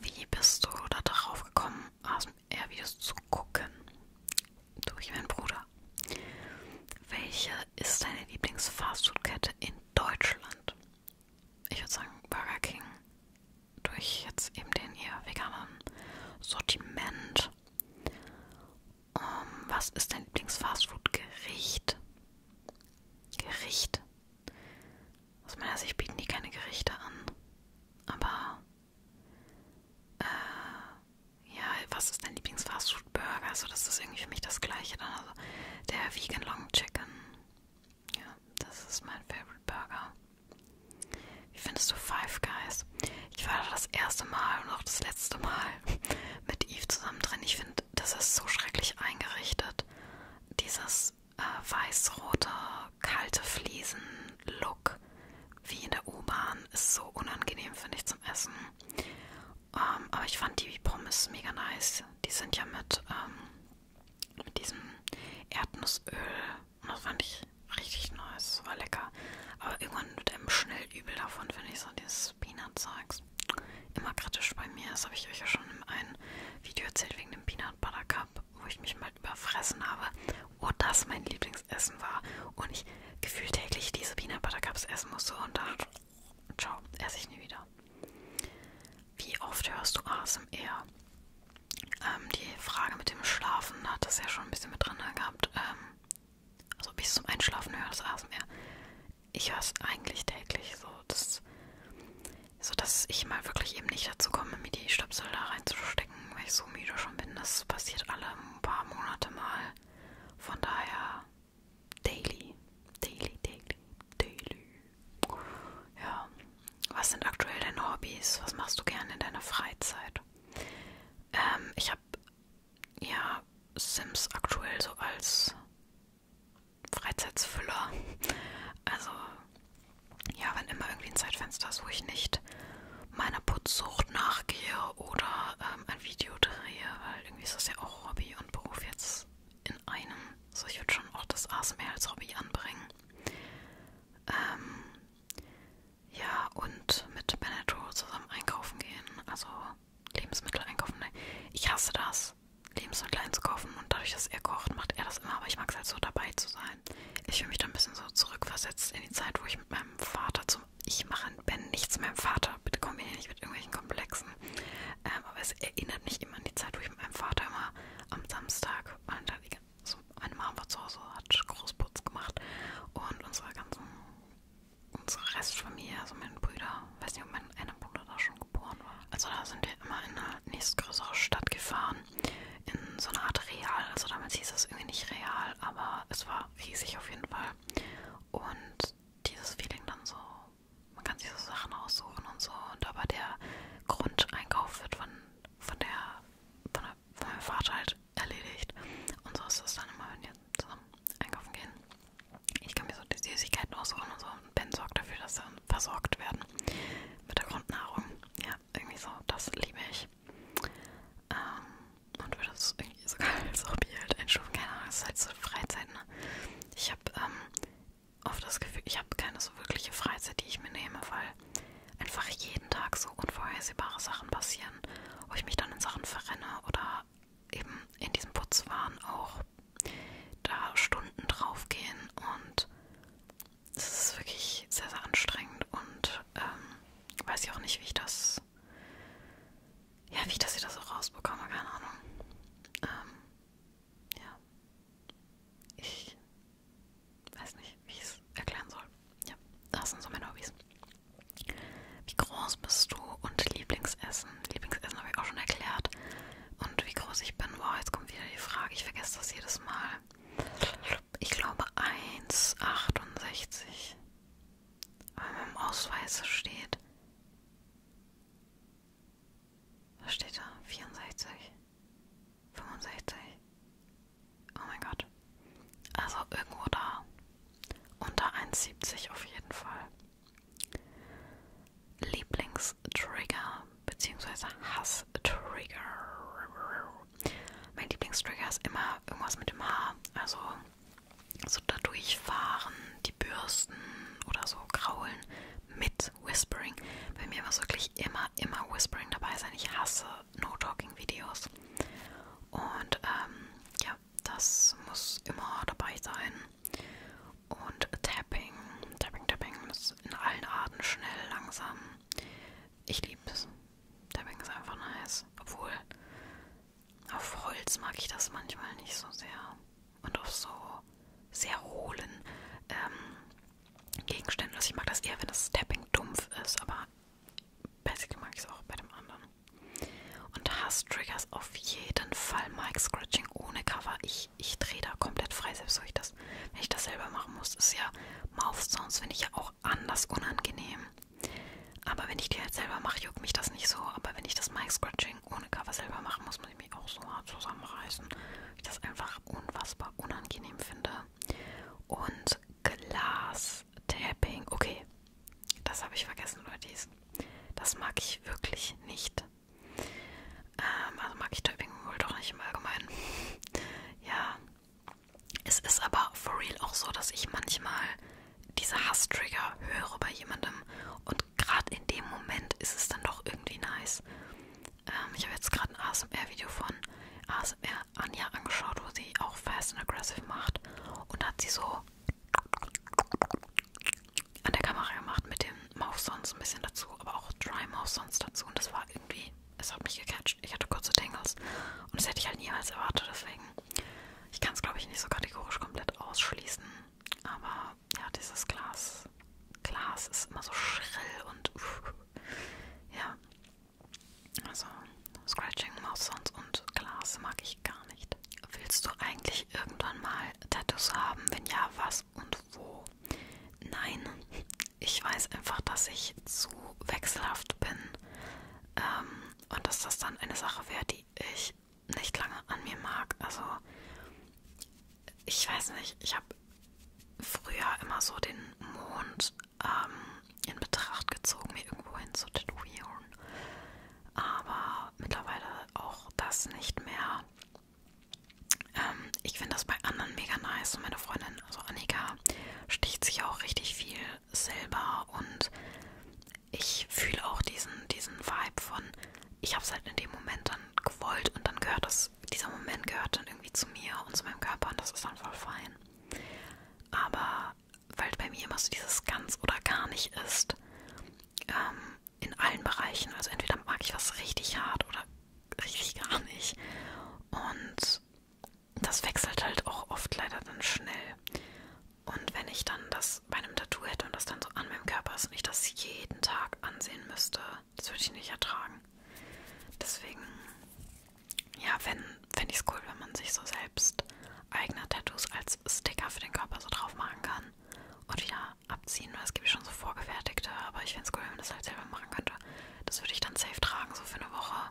Wie bist du da darauf gekommen, ASMR-Videos zu gucken? Durch meinen Bruder. Welche ist deine Lieblings-Fastfood-Kette in Deutschland? Ich würde sagen Burger King. Durch jetzt eben den eher veganen Sortiment. Um, ähm, was ist dein Lieblings-Fastfood-Gericht? Gericht. Aus meiner Sicht bieten die keine Gerichte an. Aber äh, ja, was ist dein Lieblings-Fastfood-Burger? Also das ist irgendwie für mich das Gleiche dann. Also der Vegan Long Chicken. Ja, das ist mein Favorite Burger. Wie findest du Five Guys? Ich war da das erste Mal und auch das letzte Mal mit Eve zusammen drin. Ich finde, das ist so schrecklich eingerichtet. Dieses äh, weiß-rote, kalte Fliesen-Look wie in der U-Bahn ist so unangenehm, finde ich, zum Essen. Ähm, aber ich fand die Pommes mega nice. Die sind ja mit, ähm, mit diesem Erdnussöl. Und das fand ich richtig nice. War lecker. Aber irgendwann wird einem schnell übel davon, finde ich so dieses Peanut-Zeugs. Immer kritisch bei mir. Das habe ich euch ja schon in einem Video erzählt wegen dem Peanut Butter Cup, wo ich mich mal überfressen habe. Wo das mein Lieblingsessen war. Und ich gefühlt täglich diese Peanut Butter Cups essen musste. Und da Ciao, esse ich nie wieder. Wie oft hörst du ASMR? Ähm, die Frage mit dem Schlafen hat das ja schon ein bisschen mit drin ne, gehabt. Ähm, also bis zum Einschlafen höre das ASMR. Ich höre es eigentlich täglich, so dass, so dass ich mal wirklich eben nicht dazu komme, mir die Stöpsel da reinzustecken, weil ich so müde schon bin. Das passiert alle paar Monate mal. Von daher Daily. Daily, daily, daily. Ja. Was sind aktuell deine Hobbys? Was machst du gerne in deiner Freizeit? Ähm, ich habe ja Sims aktuell so als Freizeitsfüller. Also, ja, wenn immer irgendwie ein Zeitfenster ist, wo ich nicht meiner Putzsucht nachgehe oder ähm, ein Video drehe, weil irgendwie ist das ja auch Hobby und Beruf jetzt in einem. So, ich würde schon auch das ASMR als Hobby anbringen. Ähm, ja, und mit Benetro zusammen einkaufen gehen. Also Lebensmittel einkaufen. Ne, ich hasse das, Lebensmittel einzukaufen. Und dadurch, dass er kocht, macht er das immer. Aber ich mag es halt so dabei zu sein. Ich fühle mich dann ein bisschen so zurückversetzt in die Zeit, wo ich mit meinem Vater zum ich mache Ben nichts meinem Vater. Bitte komm hier nicht mit irgendwelchen Komplexen. Ähm, aber es erinnert mich immer an die Zeit, wo ich mit meinem Vater immer am Samstag, meine, also meine Mama war zu Hause, hat Großputz gemacht und unsere ganzen, unsere Restfamilie, also meine Brüder, weiß nicht, ob mein einer Bruder da schon geboren war. Also da sind wir immer in eine nächstgrößere Stadt gefahren, in so eine Art Real. Also damals hieß das irgendwie nicht Real, aber es war riesig auf jeden Fall. Und dieses Feeling dann so, man kann sich so Sachen aussuchen und so. Und aber der Grundeinkauf wird von, von, der, von, der, von meinem Vater halt erledigt. Und so ist es dann immer, wenn wir zusammen einkaufen gehen. Ich kann mir so die Süßigkeiten aussuchen und so. Und Ben sorgt dafür, dass sie versorgt werden mit der Grundnahrung. Ja, irgendwie so, das liebe ich. Ähm, und würde es irgendwie sogar als Hobby halt einstufen. Keine Ahnung, es ist halt so Freizeit, ne? Ich habe ähm, oft das Gefühl, ich habe keine so wirkliche Freizeit, die ich mir nehme, weil einfach jeden Tag so unvorhersehbare Sachen passieren, wo ich mich dann in Sachen verrenne oder eben in diesem Putzwahn auch da Stunden draufgehen und es ist wirklich sehr, sehr anstrengend und ähm, weiß ich auch nicht, wie ich das ja, wie ich das hier das auch rausbekomme, keine Ahnung. Ähm, ja. Ich weiß nicht, wie ich es erklären soll. Ja, das sind so meine Hobbys. Wie groß bist du und Lieblingsessen? Lieblingsessen habe ich auch schon erklärt. Und wie groß ich bin, wow, jetzt kommt wieder die Frage, ich vergesse das jedes Mal. Ich glaube 1,68. Weil meinem Ausweis steht was steht da? 64? 65? Oh mein Gott. Also irgendwo da. Unter 1,70 auf jeden Fall. Lieblingstrigger bzw. Hasstrigger. Mein Lieblingstrigger ist immer irgendwas mit dem Haar. Also so da durchfahren, die Bürsten oder so kraulen mit Whispering. Bei mir muss wirklich immer, immer Whispering dabei sein. Ich hasse No-Talking-Videos. Und ähm, ja, das muss immer dabei sein. Und Tapping, Tapping, Tapping ist in allen Arten schnell, langsam. Ich liebe es. Tapping ist einfach nice. Obwohl auf Holz mag ich das manchmal nicht so sehr. Und auf so sehr hohlen ähm, Gegenständen. Also ich mag das eher, wenn das Tapping dumpf ist, aber basically mag ich es auch bei dem anderen. Und Hass-Triggers auf jeden Fall Mike Scratching ohne Cover. Ich, ich drehe da komplett frei, selbst wenn ich, das, wenn ich das selber machen muss. Ist ja Mouth Sounds, finde ich ja auch anders unangenehm. Aber wenn ich die halt selber mache, juckt mich das nicht so. Aber wenn ich das Mike Scratching Ding ohne Cover selber machen muss, muss ich mich auch so hart zusammenreißen. Ich das einfach unfassbar unangenehm finde. Und Glas-Tapping. Okay, das habe ich vergessen, Leute. Das mag ich wirklich nicht. Ähm, also mag ich Tapping wohl doch nicht im Allgemeinen. ja. Es ist aber for real auch so, dass ich manchmal diese Hasstrigger höre bei jemandem und gerade in dem Moment ist es dann doch irgendwie nice. Ähm, ich habe jetzt gerade ein ASMR-Video von ASMR Anja angeschaut, wo sie auch Fast and Aggressive macht. Und da hat sie so an der Kamera gemacht mit dem Mouth Sounds ein bisschen dazu, aber auch Dry Mouth Sounds dazu. Und das war irgendwie, es hat mich gecatcht. Ich hatte kurze Tangles. Und das hätte ich halt niemals erwartet, deswegen. Ich kann es, glaube ich, nicht so kategorisch komplett ausschließen. Aber ja, dieses Glas. Glas ist immer so schrill und uh, ja. Also Scratching, Mouse Sounds und Glas mag ich gar nicht. Willst du eigentlich irgendwann mal Tattoos haben? Wenn ja, was und wo? Nein, ich weiß einfach, dass ich zu wechselhaft bin ähm, und dass das dann eine Sache wäre, die ich nicht lange an mir mag. Also ich weiß nicht, ich habe früher immer so den Mond ähm, in Betracht gezogen, mir irgendwo hin zu tätowieren. Aber mittlerweile auch das nicht mehr. Ähm, ich finde das bei anderen mega nice. Und meine Freundin, also Annika, sticht sich auch richtig viel selber und ich fühle auch diesen, diesen Vibe von, ich habe es halt in dem Moment dann gewollt und dann gehört das, dieser Moment gehört dann irgendwie zu mir und zu meinem Körper und das ist dann voll fein. Aber weil bei mir immer so dieses ganz oder gar nicht ist, ähm, in allen Bereichen, also entweder mag ich was richtig hart oder richtig gar nicht. Und das wechselt halt auch oft leider dann schnell. Und wenn ich dann das bei einem Tattoo Zeit und das dann so an meinem Körper ist und ich das jeden Tag ansehen müsste. Das würde ich nicht ertragen. Deswegen, ja, wenn, fände ich es cool, wenn man sich so selbst eigene Tattoos als Sticker für den Körper so drauf machen kann und wieder abziehen, weil es gibt schon so vorgefertigte, aber ich fände es cool, wenn man das halt selber machen könnte. Das würde ich dann safe tragen, so für eine Woche.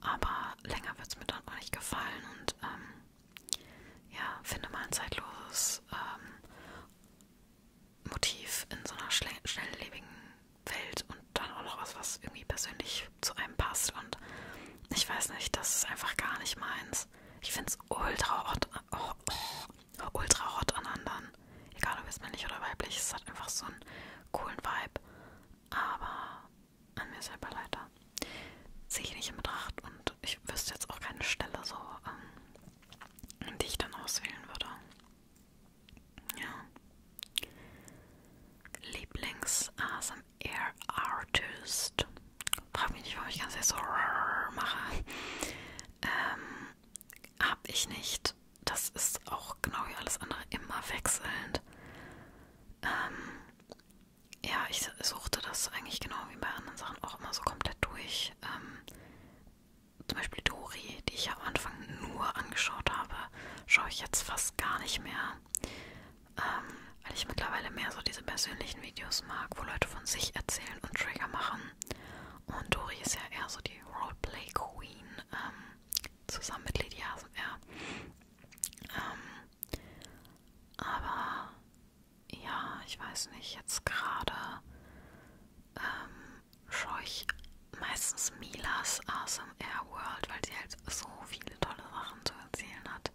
Aber länger wird es mir dann auch nicht gefallen und ähm, ja, finde mal ein zeitloses ähm, Motiv in so einer schnelllebigen Welt und dann auch noch was, was irgendwie persönlich zu einem passt. Und ich weiß nicht, das ist einfach gar nicht meins. Ich finde es ultra hot, oh, oh, ultra hot an anderen. Egal ob es männlich oder weiblich, es hat einfach so einen coolen Vibe. Aber an mir selber leider sehe ich nicht in Betracht und ich wüsste jetzt auch keine Stelle so, ähm, die ich dann auswählen würde. Ja. Lieblings-ASMR-Artist. Frag mich nicht, warum ich ganz jetzt so mache. Ähm, hab ich nicht. Das ist auch genau wie alles andere immer wechselnd. Ähm, ja, ich suchte das eigentlich genau wie bei anderen Sachen auch immer so komplett durch ich ähm, zum Beispiel Dori, die ich am Anfang nur angeschaut habe, schaue ich jetzt fast gar nicht mehr, ähm, weil ich mittlerweile mehr so diese persönlichen Videos mag, wo Leute von sich erzählen und Trigger machen. Und Dori ist ja eher so die Roleplay Queen, ähm, zusammen mit Lydia sind ähm, aber ja, ich weiß nicht, jetzt gerade ähm, schaue ich meistens Milas Awesome Air World, weil sie halt so viele tolle Sachen zu erzählen hat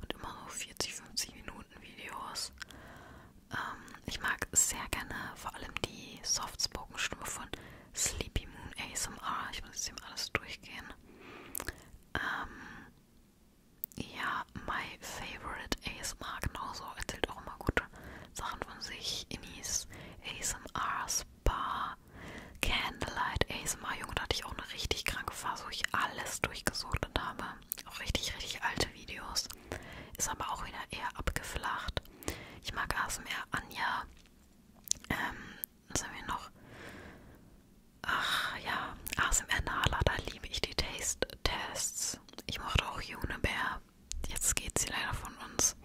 und immer so 40, 50 Minuten Videos. Ähm, ich mag sehr gerne vor allem die Softspoken-Stimme von Sleepy Moon ASMR. Ich muss jetzt eben alles durchgehen. Ähm, ja, my favorite ASMR genauso erzählt auch immer gute Sachen von sich. Inis ASMR, Spa, Candlelight, ASMR. Junge, da hatte ich auch eine richtig kranke Phase, wo ich alles durchgesucht und habe. Auch richtig, richtig alte Videos. Ist aber auch wieder eher abgeflacht. Ich mag ASMR, Anja. Ähm, was haben wir noch? Ach ja, ASMR Nala, da liebe ich die Taste-Tests. Eis. Ich mochte auch Junebär. Jetzt geht sie leider von uns.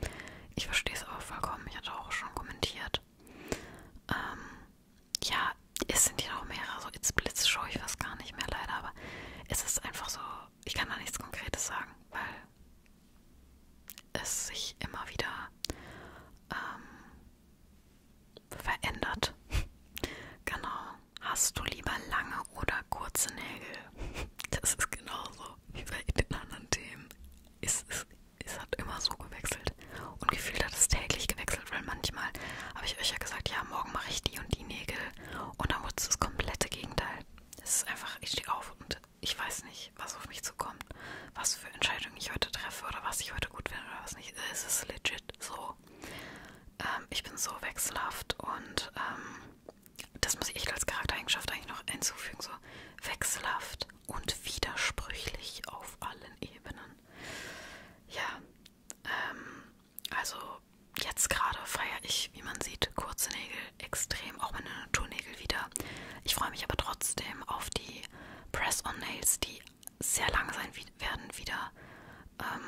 Ich verstehe es aber vollkommen. Ich hatte auch schon kommentiert. Ähm, ja, es sind ja auch mehrere. So, jetzt blitzscheu ich was gar nicht mehr leider. Aber es ist einfach so, ich kann da nichts Konkretes sagen, weil es sich immer wieder ähm, verändert. genau. Hast du lieber lange oder kurze Nägel? Das ist genauso wie bei den anderen Themen. Es, es, es hat immer so gewechselt. Und gefühlt hat es täglich gewechselt, weil manchmal habe ich euch ja gesagt, ja, morgen mache ich die und die Nägel. Und dann wurde es das komplette Gegenteil. Es ist einfach, ich stehe auf und ich weiß nicht, was auf mich zukommt, was für Entscheidungen ich heute treffe oder was ich heute gut finde oder was nicht. Es ist legit so auch. Ähm, ich bin so wechselhaft und ähm, das muss ich echt als Charaktereigenschaft eigentlich noch hinzufügen. So wechselhaft und widersprüchlich auf allen Ebenen. Ja, ähm, also jetzt gerade feiere ich, wie man sieht, kurze Nägel extrem, auch meine Naturnägel wieder. Ich freue mich aber trotzdem auf die Press-on-Nails, die sehr lang sein werden wieder. Ähm,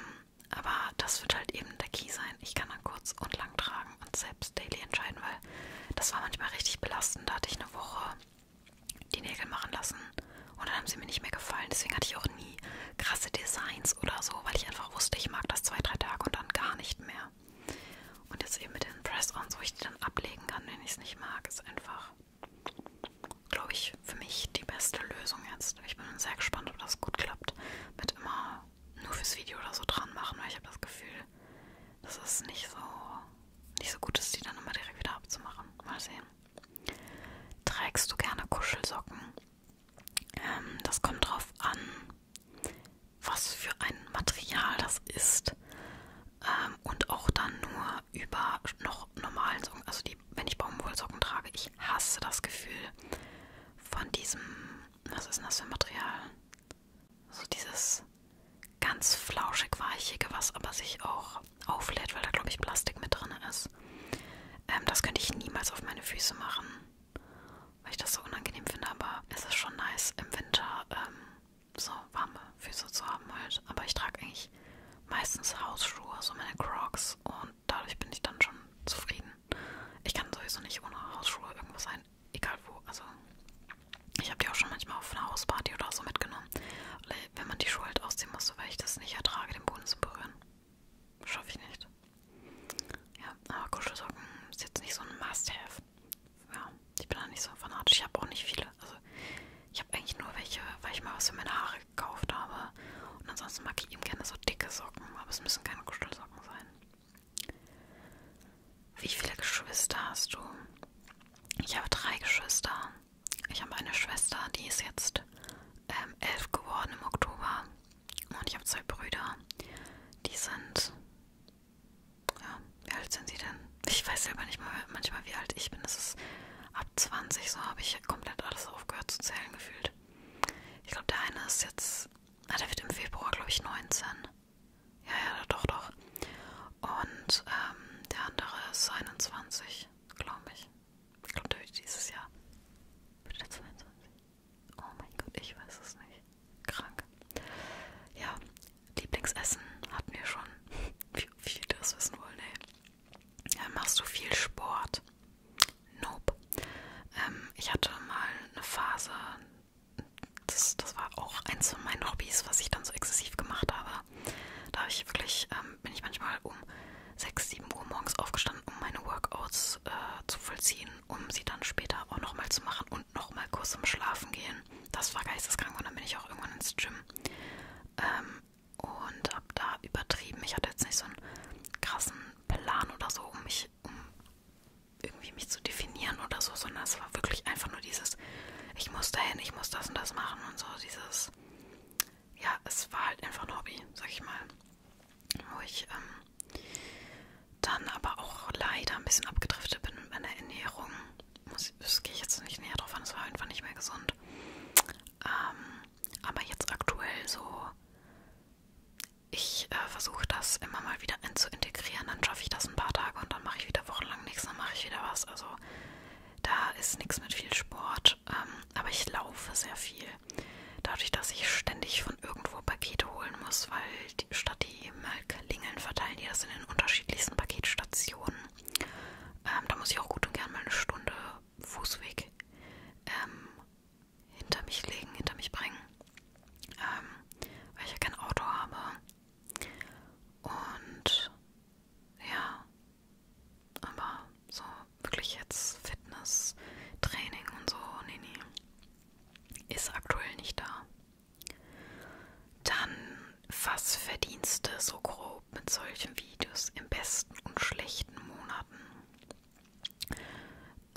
aber das wird halt eben der Key sein. Ich kann dann kurz und lang tragen und selbst daily entscheiden, weil das war manchmal richtig belastend. Da hatte ich eine Woche die Nägel machen lassen und dann haben sie mir nicht mehr gefallen. Deswegen hatte ich auch nie krasse Designs oder so, weil ich einfach wusste, ich mag das zwei, drei Tage und dann gar nicht mehr. Und jetzt eben mit den Press-Ons, wo ich die dann ablegen kann, wenn ich es nicht mag, ist einfach, glaube ich, für mich die beste Lösung jetzt. Ich bin sehr gespannt, ob das gut klappt. Mit immer nur fürs Video oder so dran machen, weil ich habe das Gefühl, dass es nicht so, nicht so gut ist, die dann immer direkt wieder abzumachen. Mal sehen. Trägst du gerne Kuschelsocken? Ähm, das kommt drauf an, was für ein Material das ist. Ähm, und auch dann nur über noch normalen Socken. Also die, wenn ich Baumwollsocken trage, ich hasse das Gefühl, von diesem, was ist denn das für ein Material? So dieses ganz flauschig weichige, was aber sich auch auflädt, weil da glaube ich Plastik mit drin ist. Ähm, das könnte ich niemals auf meine Füße machen, weil ich das so unangenehm finde, aber es ist schon nice im Winter ähm, so warme Füße zu haben halt. Aber ich trage eigentlich meistens Hausschuhe, so meine Crocs und dadurch bin ich dann schon zufrieden. Ich kann sowieso nicht ohne Hausschuhe irgendwo sein, egal wo. Also ich habe die auch schon manchmal auf einer Hausparty oder so mitgenommen, wenn man die Schuhe halt ausziehen musste, weil ich das nicht ertrage, den Boden zu berühren. Schaffe ich nicht. Ja, aber Kuschelsocken ist jetzt nicht so ein Must-Have. Ja, ich bin da nicht so fanatisch. Ich habe auch nicht viele. Also ich habe eigentlich nur welche, weil ich mal was für meine Haare gekauft habe. Und ansonsten mag ich ihm gerne so dicke Socken, aber es müssen keine Kuschelsocken sein. Wie viele Geschwister hast du? Ich habe drei Geschwister. Ich habe eine Schwester, die ist jetzt ähm, elf geworden im Oktober. Und ich habe zwei Brüder. Die sind. Ja, wie alt sind sie denn? Ich weiß selber nicht mal manchmal, wie alt ich bin. Das ist ab 20, so habe ich komplett alles aufgehört zu zählen gefühlt. Ich glaube, der eine ist jetzt. Ah, der wird im Februar, glaube ich, 19. Ja, ja, doch, doch. Und ähm, der andere ist 21, glaube ich. Ich glaube, der wird dieses Jahr. Wird der 22? Oh mein Gott, ich weiß es nicht. Krank. Ja, Lieblingsessen hatten wir schon. Wie viel das wissen wollen, ey. Dann machst du viel Sport. Nope. Ähm, ich hatte mal eine Phase, das, das war auch eins von meinen Hobbys, was ich dann so exzessiv gemacht habe. Da habe ich wirklich, ähm, bin ich manchmal um 6, 7 Uhr morgens aufgestanden, um meine Workouts äh, zu vollziehen, um sie dann später auch nochmal zu machen und nochmal kurz zum Schlafen gehen. Das war geisteskrank und dann bin ich auch irgendwann ins Gym. Ähm, und habe da übertrieben. Ich hatte jetzt nicht so einen krassen Plan oder so, um mich, um irgendwie mich zu definieren oder so, sondern es war wirklich einfach nur dieses, ich muss dahin, ich muss das und das machen und so, dieses, ja, es war halt einfach ein Hobby, sag ich mal. Wo ich ähm, dann aber auch leider ein bisschen abgedriftet bin mit meiner Ernährung. Muss, das gehe ich jetzt nicht näher drauf an, es war einfach nicht mehr gesund. Ähm, aber jetzt aktuell so ich äh, versuche das immer mal wieder in zu integrieren. Dann schaffe ich das ein paar Tage und dann mache ich wieder wochenlang nichts, dann mache ich wieder was. Also da ist nichts mit viel Sport. Ähm, aber ich laufe sehr viel. Dadurch, dass ich ständig von irgendwo Pakete holen muss, weil die, statt die Melklingeln verteilen die das in den unterschiedlichsten Paketstationen. Ähm, da muss ich auch gut und gern mal eine Stunde Fußweg ähm, hinter mich legen, hinter mich bringen, ähm, weil ich ja kein Auto habe. Und ja, aber so wirklich jetzt Fitness, Training und so, nee, nee, ist aktuell nicht da. Dann, was verdienst du so grob mit solchen Videos im besten und schlechten Monaten?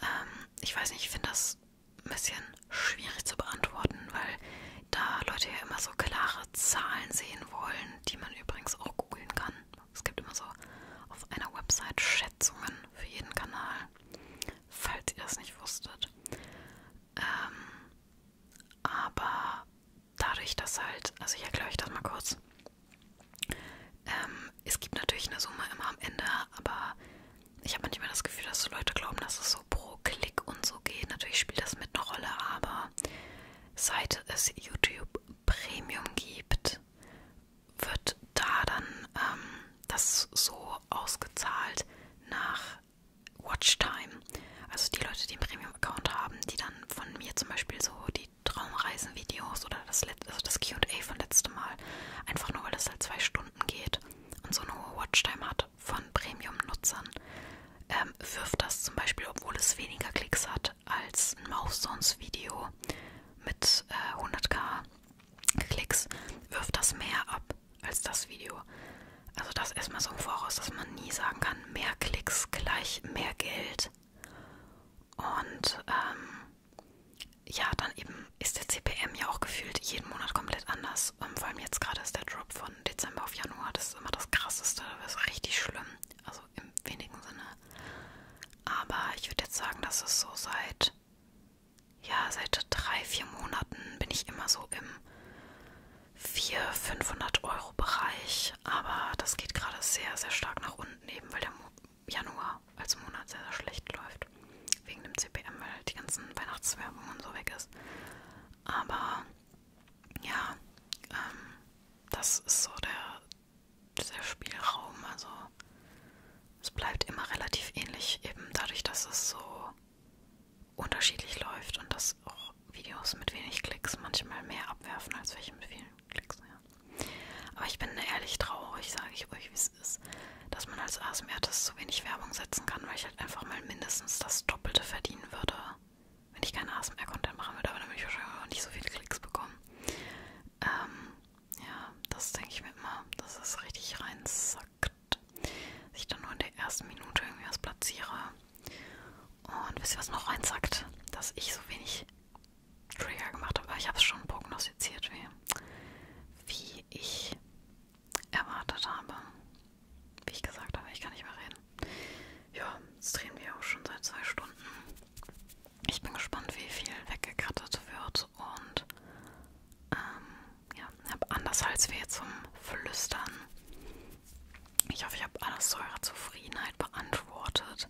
ähm, ich weiß nicht, ich finde das ein bisschen schwierig zu beantworten, weil da Leute ja immer so klare Zahlen sehen wollen, die man übrigens auch googeln kann. Es gibt immer so auf einer Website Schätzungen für jeden Kanal, falls ihr das nicht wusstet. Ähm, aber dadurch, dass halt, also ich erkläre euch das mal kurz. Ähm, es gibt natürlich eine Summe immer am Ende, aber ich habe manchmal das Gefühl, dass so Leute glauben, dass es so pro Klick und so geht. Natürlich spielt das mit einer Rolle, aber seit es YouTube Premium gibt, wird da dann ähm, das so ausgezahlt nach Watchtime. Also die Leute, die einen Premium-Account haben, die dann von mir zum Beispiel so die Traumreisen-Videos oder das, also das QA von letztem Mal. Einfach nur, weil es halt zwei Stunden geht und so eine hohe Watchtime hat von Premium-Nutzern, ähm, wirft das zum Beispiel, obwohl es weniger Klicks hat als ein Mouth-Sounds-Video mit äh, 100k Klicks, wirft das mehr ab als das Video. Also das erstmal so im Voraus, dass man nie sagen kann, mehr Klicks gleich mehr Geld. Und ähm, ja, dann eben ist der CPM ja auch gefühlt jeden Monat komplett anders. Um, ähm, vor allem jetzt gerade ist der Drop von Dezember auf Januar, das ist immer das krasseste, das ist richtig schlimm, also im wenigen Sinne. Aber ich würde jetzt sagen, dass es so seit, ja, seit drei, vier Monaten bin ich immer so im 400, 500 Euro Bereich, aber das geht gerade sehr, sehr stark nach unten eben, weil der Januar als Monat sehr, sehr schlecht läuft. Wegen dem CPM, weil halt die ganzen Weihnachtswerbung und so weg ist. Aber ja, ähm, das ist so der, der Spielraum. Also es bleibt immer relativ ähnlich, eben dadurch, dass es so unterschiedlich läuft und dass auch Videos mit wenig Klicks manchmal mehr abwerfen als welche mit vielen Klicks. Ja. Aber ich bin ehrlich traurig, sage ich euch, wie es ist, dass man als ASMR-Artist so wenig Werbung setzen kann, weil ich halt einfach mal mindestens das Doppelte verdienen würde, wenn ich keinen ASMR-Content machen würde. Aber dann würde ich wahrscheinlich auch nicht so viele Klicks bekommen. Ähm, ja, das denke ich mir immer, dass es richtig reinsackt. Dass ich dann nur in der ersten Minute irgendwie was platziere. Und wisst ihr, was noch reinsackt? Dass ich so wenig Trigger gemacht habe. Aber ich habe es schon prognostiziert, wie, wie ich erwartet habe. Wie ich gesagt habe, ich kann nicht mehr reden. Ja, jetzt drehen wir auch schon seit zwei Stunden. Ich bin gespannt, wie viel weggekrattet wird und ähm, ja, habe Andershalsweh zum Flüstern. Ich hoffe, ich habe alles zu eurer Zufriedenheit beantwortet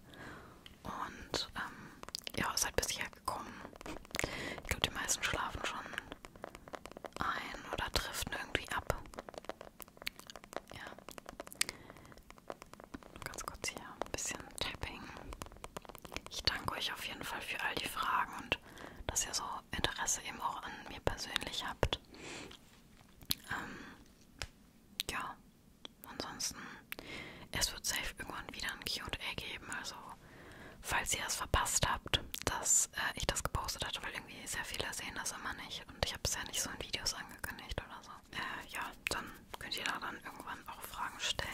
und ähm, ja, seid halt bis hierher gekommen. Ich glaube, die meisten schlafen schon ein oder driften irgendwie ab. Ja. Ganz kurz hier ein bisschen Tapping. Ich danke euch auf jeden Fall für all die Fragen und dass ihr so Interesse eben auch an mir persönlich habt. Ähm, ja, ansonsten es wird safe irgendwann wieder ein QA geben, also falls ihr es verpasst habt, dass äh, ich das gepostet hatte, weil irgendwie sehr viele sehen das immer nicht und ich habe es ja nicht so in Videos angekündigt oder so. Äh, ja, dann könnt ihr da dann irgendwann auch Fragen stellen.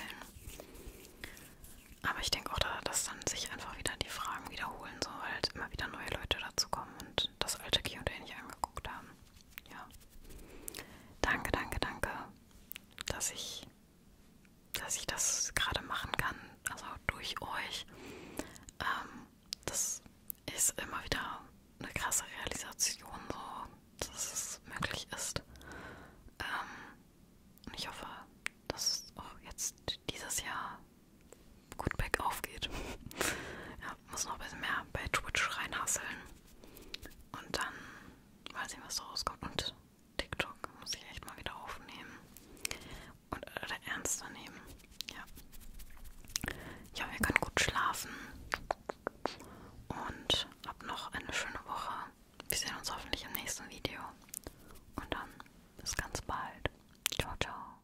Aber ich denke auch, da, dass dann sich einfach wieder die Fragen wiederholen, so weil halt immer wieder neue Leute dazukommen und das alte QA nicht angeguckt haben. Ja. Danke, danke, danke, dass ich dass ich das gerade machen kann, also durch euch. Ähm, das ist immer wieder eine krasse Realisation, so, dass es möglich ist. Ähm, und ich hoffe, dass es auch jetzt dieses Jahr gut bergauf geht. ja, muss noch ein bisschen mehr bei Twitch reinhasseln. Und dann mal sehen, was da rauskommt. Und TikTok muss ich echt mal wieder aufnehmen. Und oder ernster nehmen. Ja. Ja, wir können gut schlafen. Und hab noch eine schöne Woche. Wir sehen uns hoffentlich im nächsten Video. Und dann bis ganz bald. Ciao, ciao.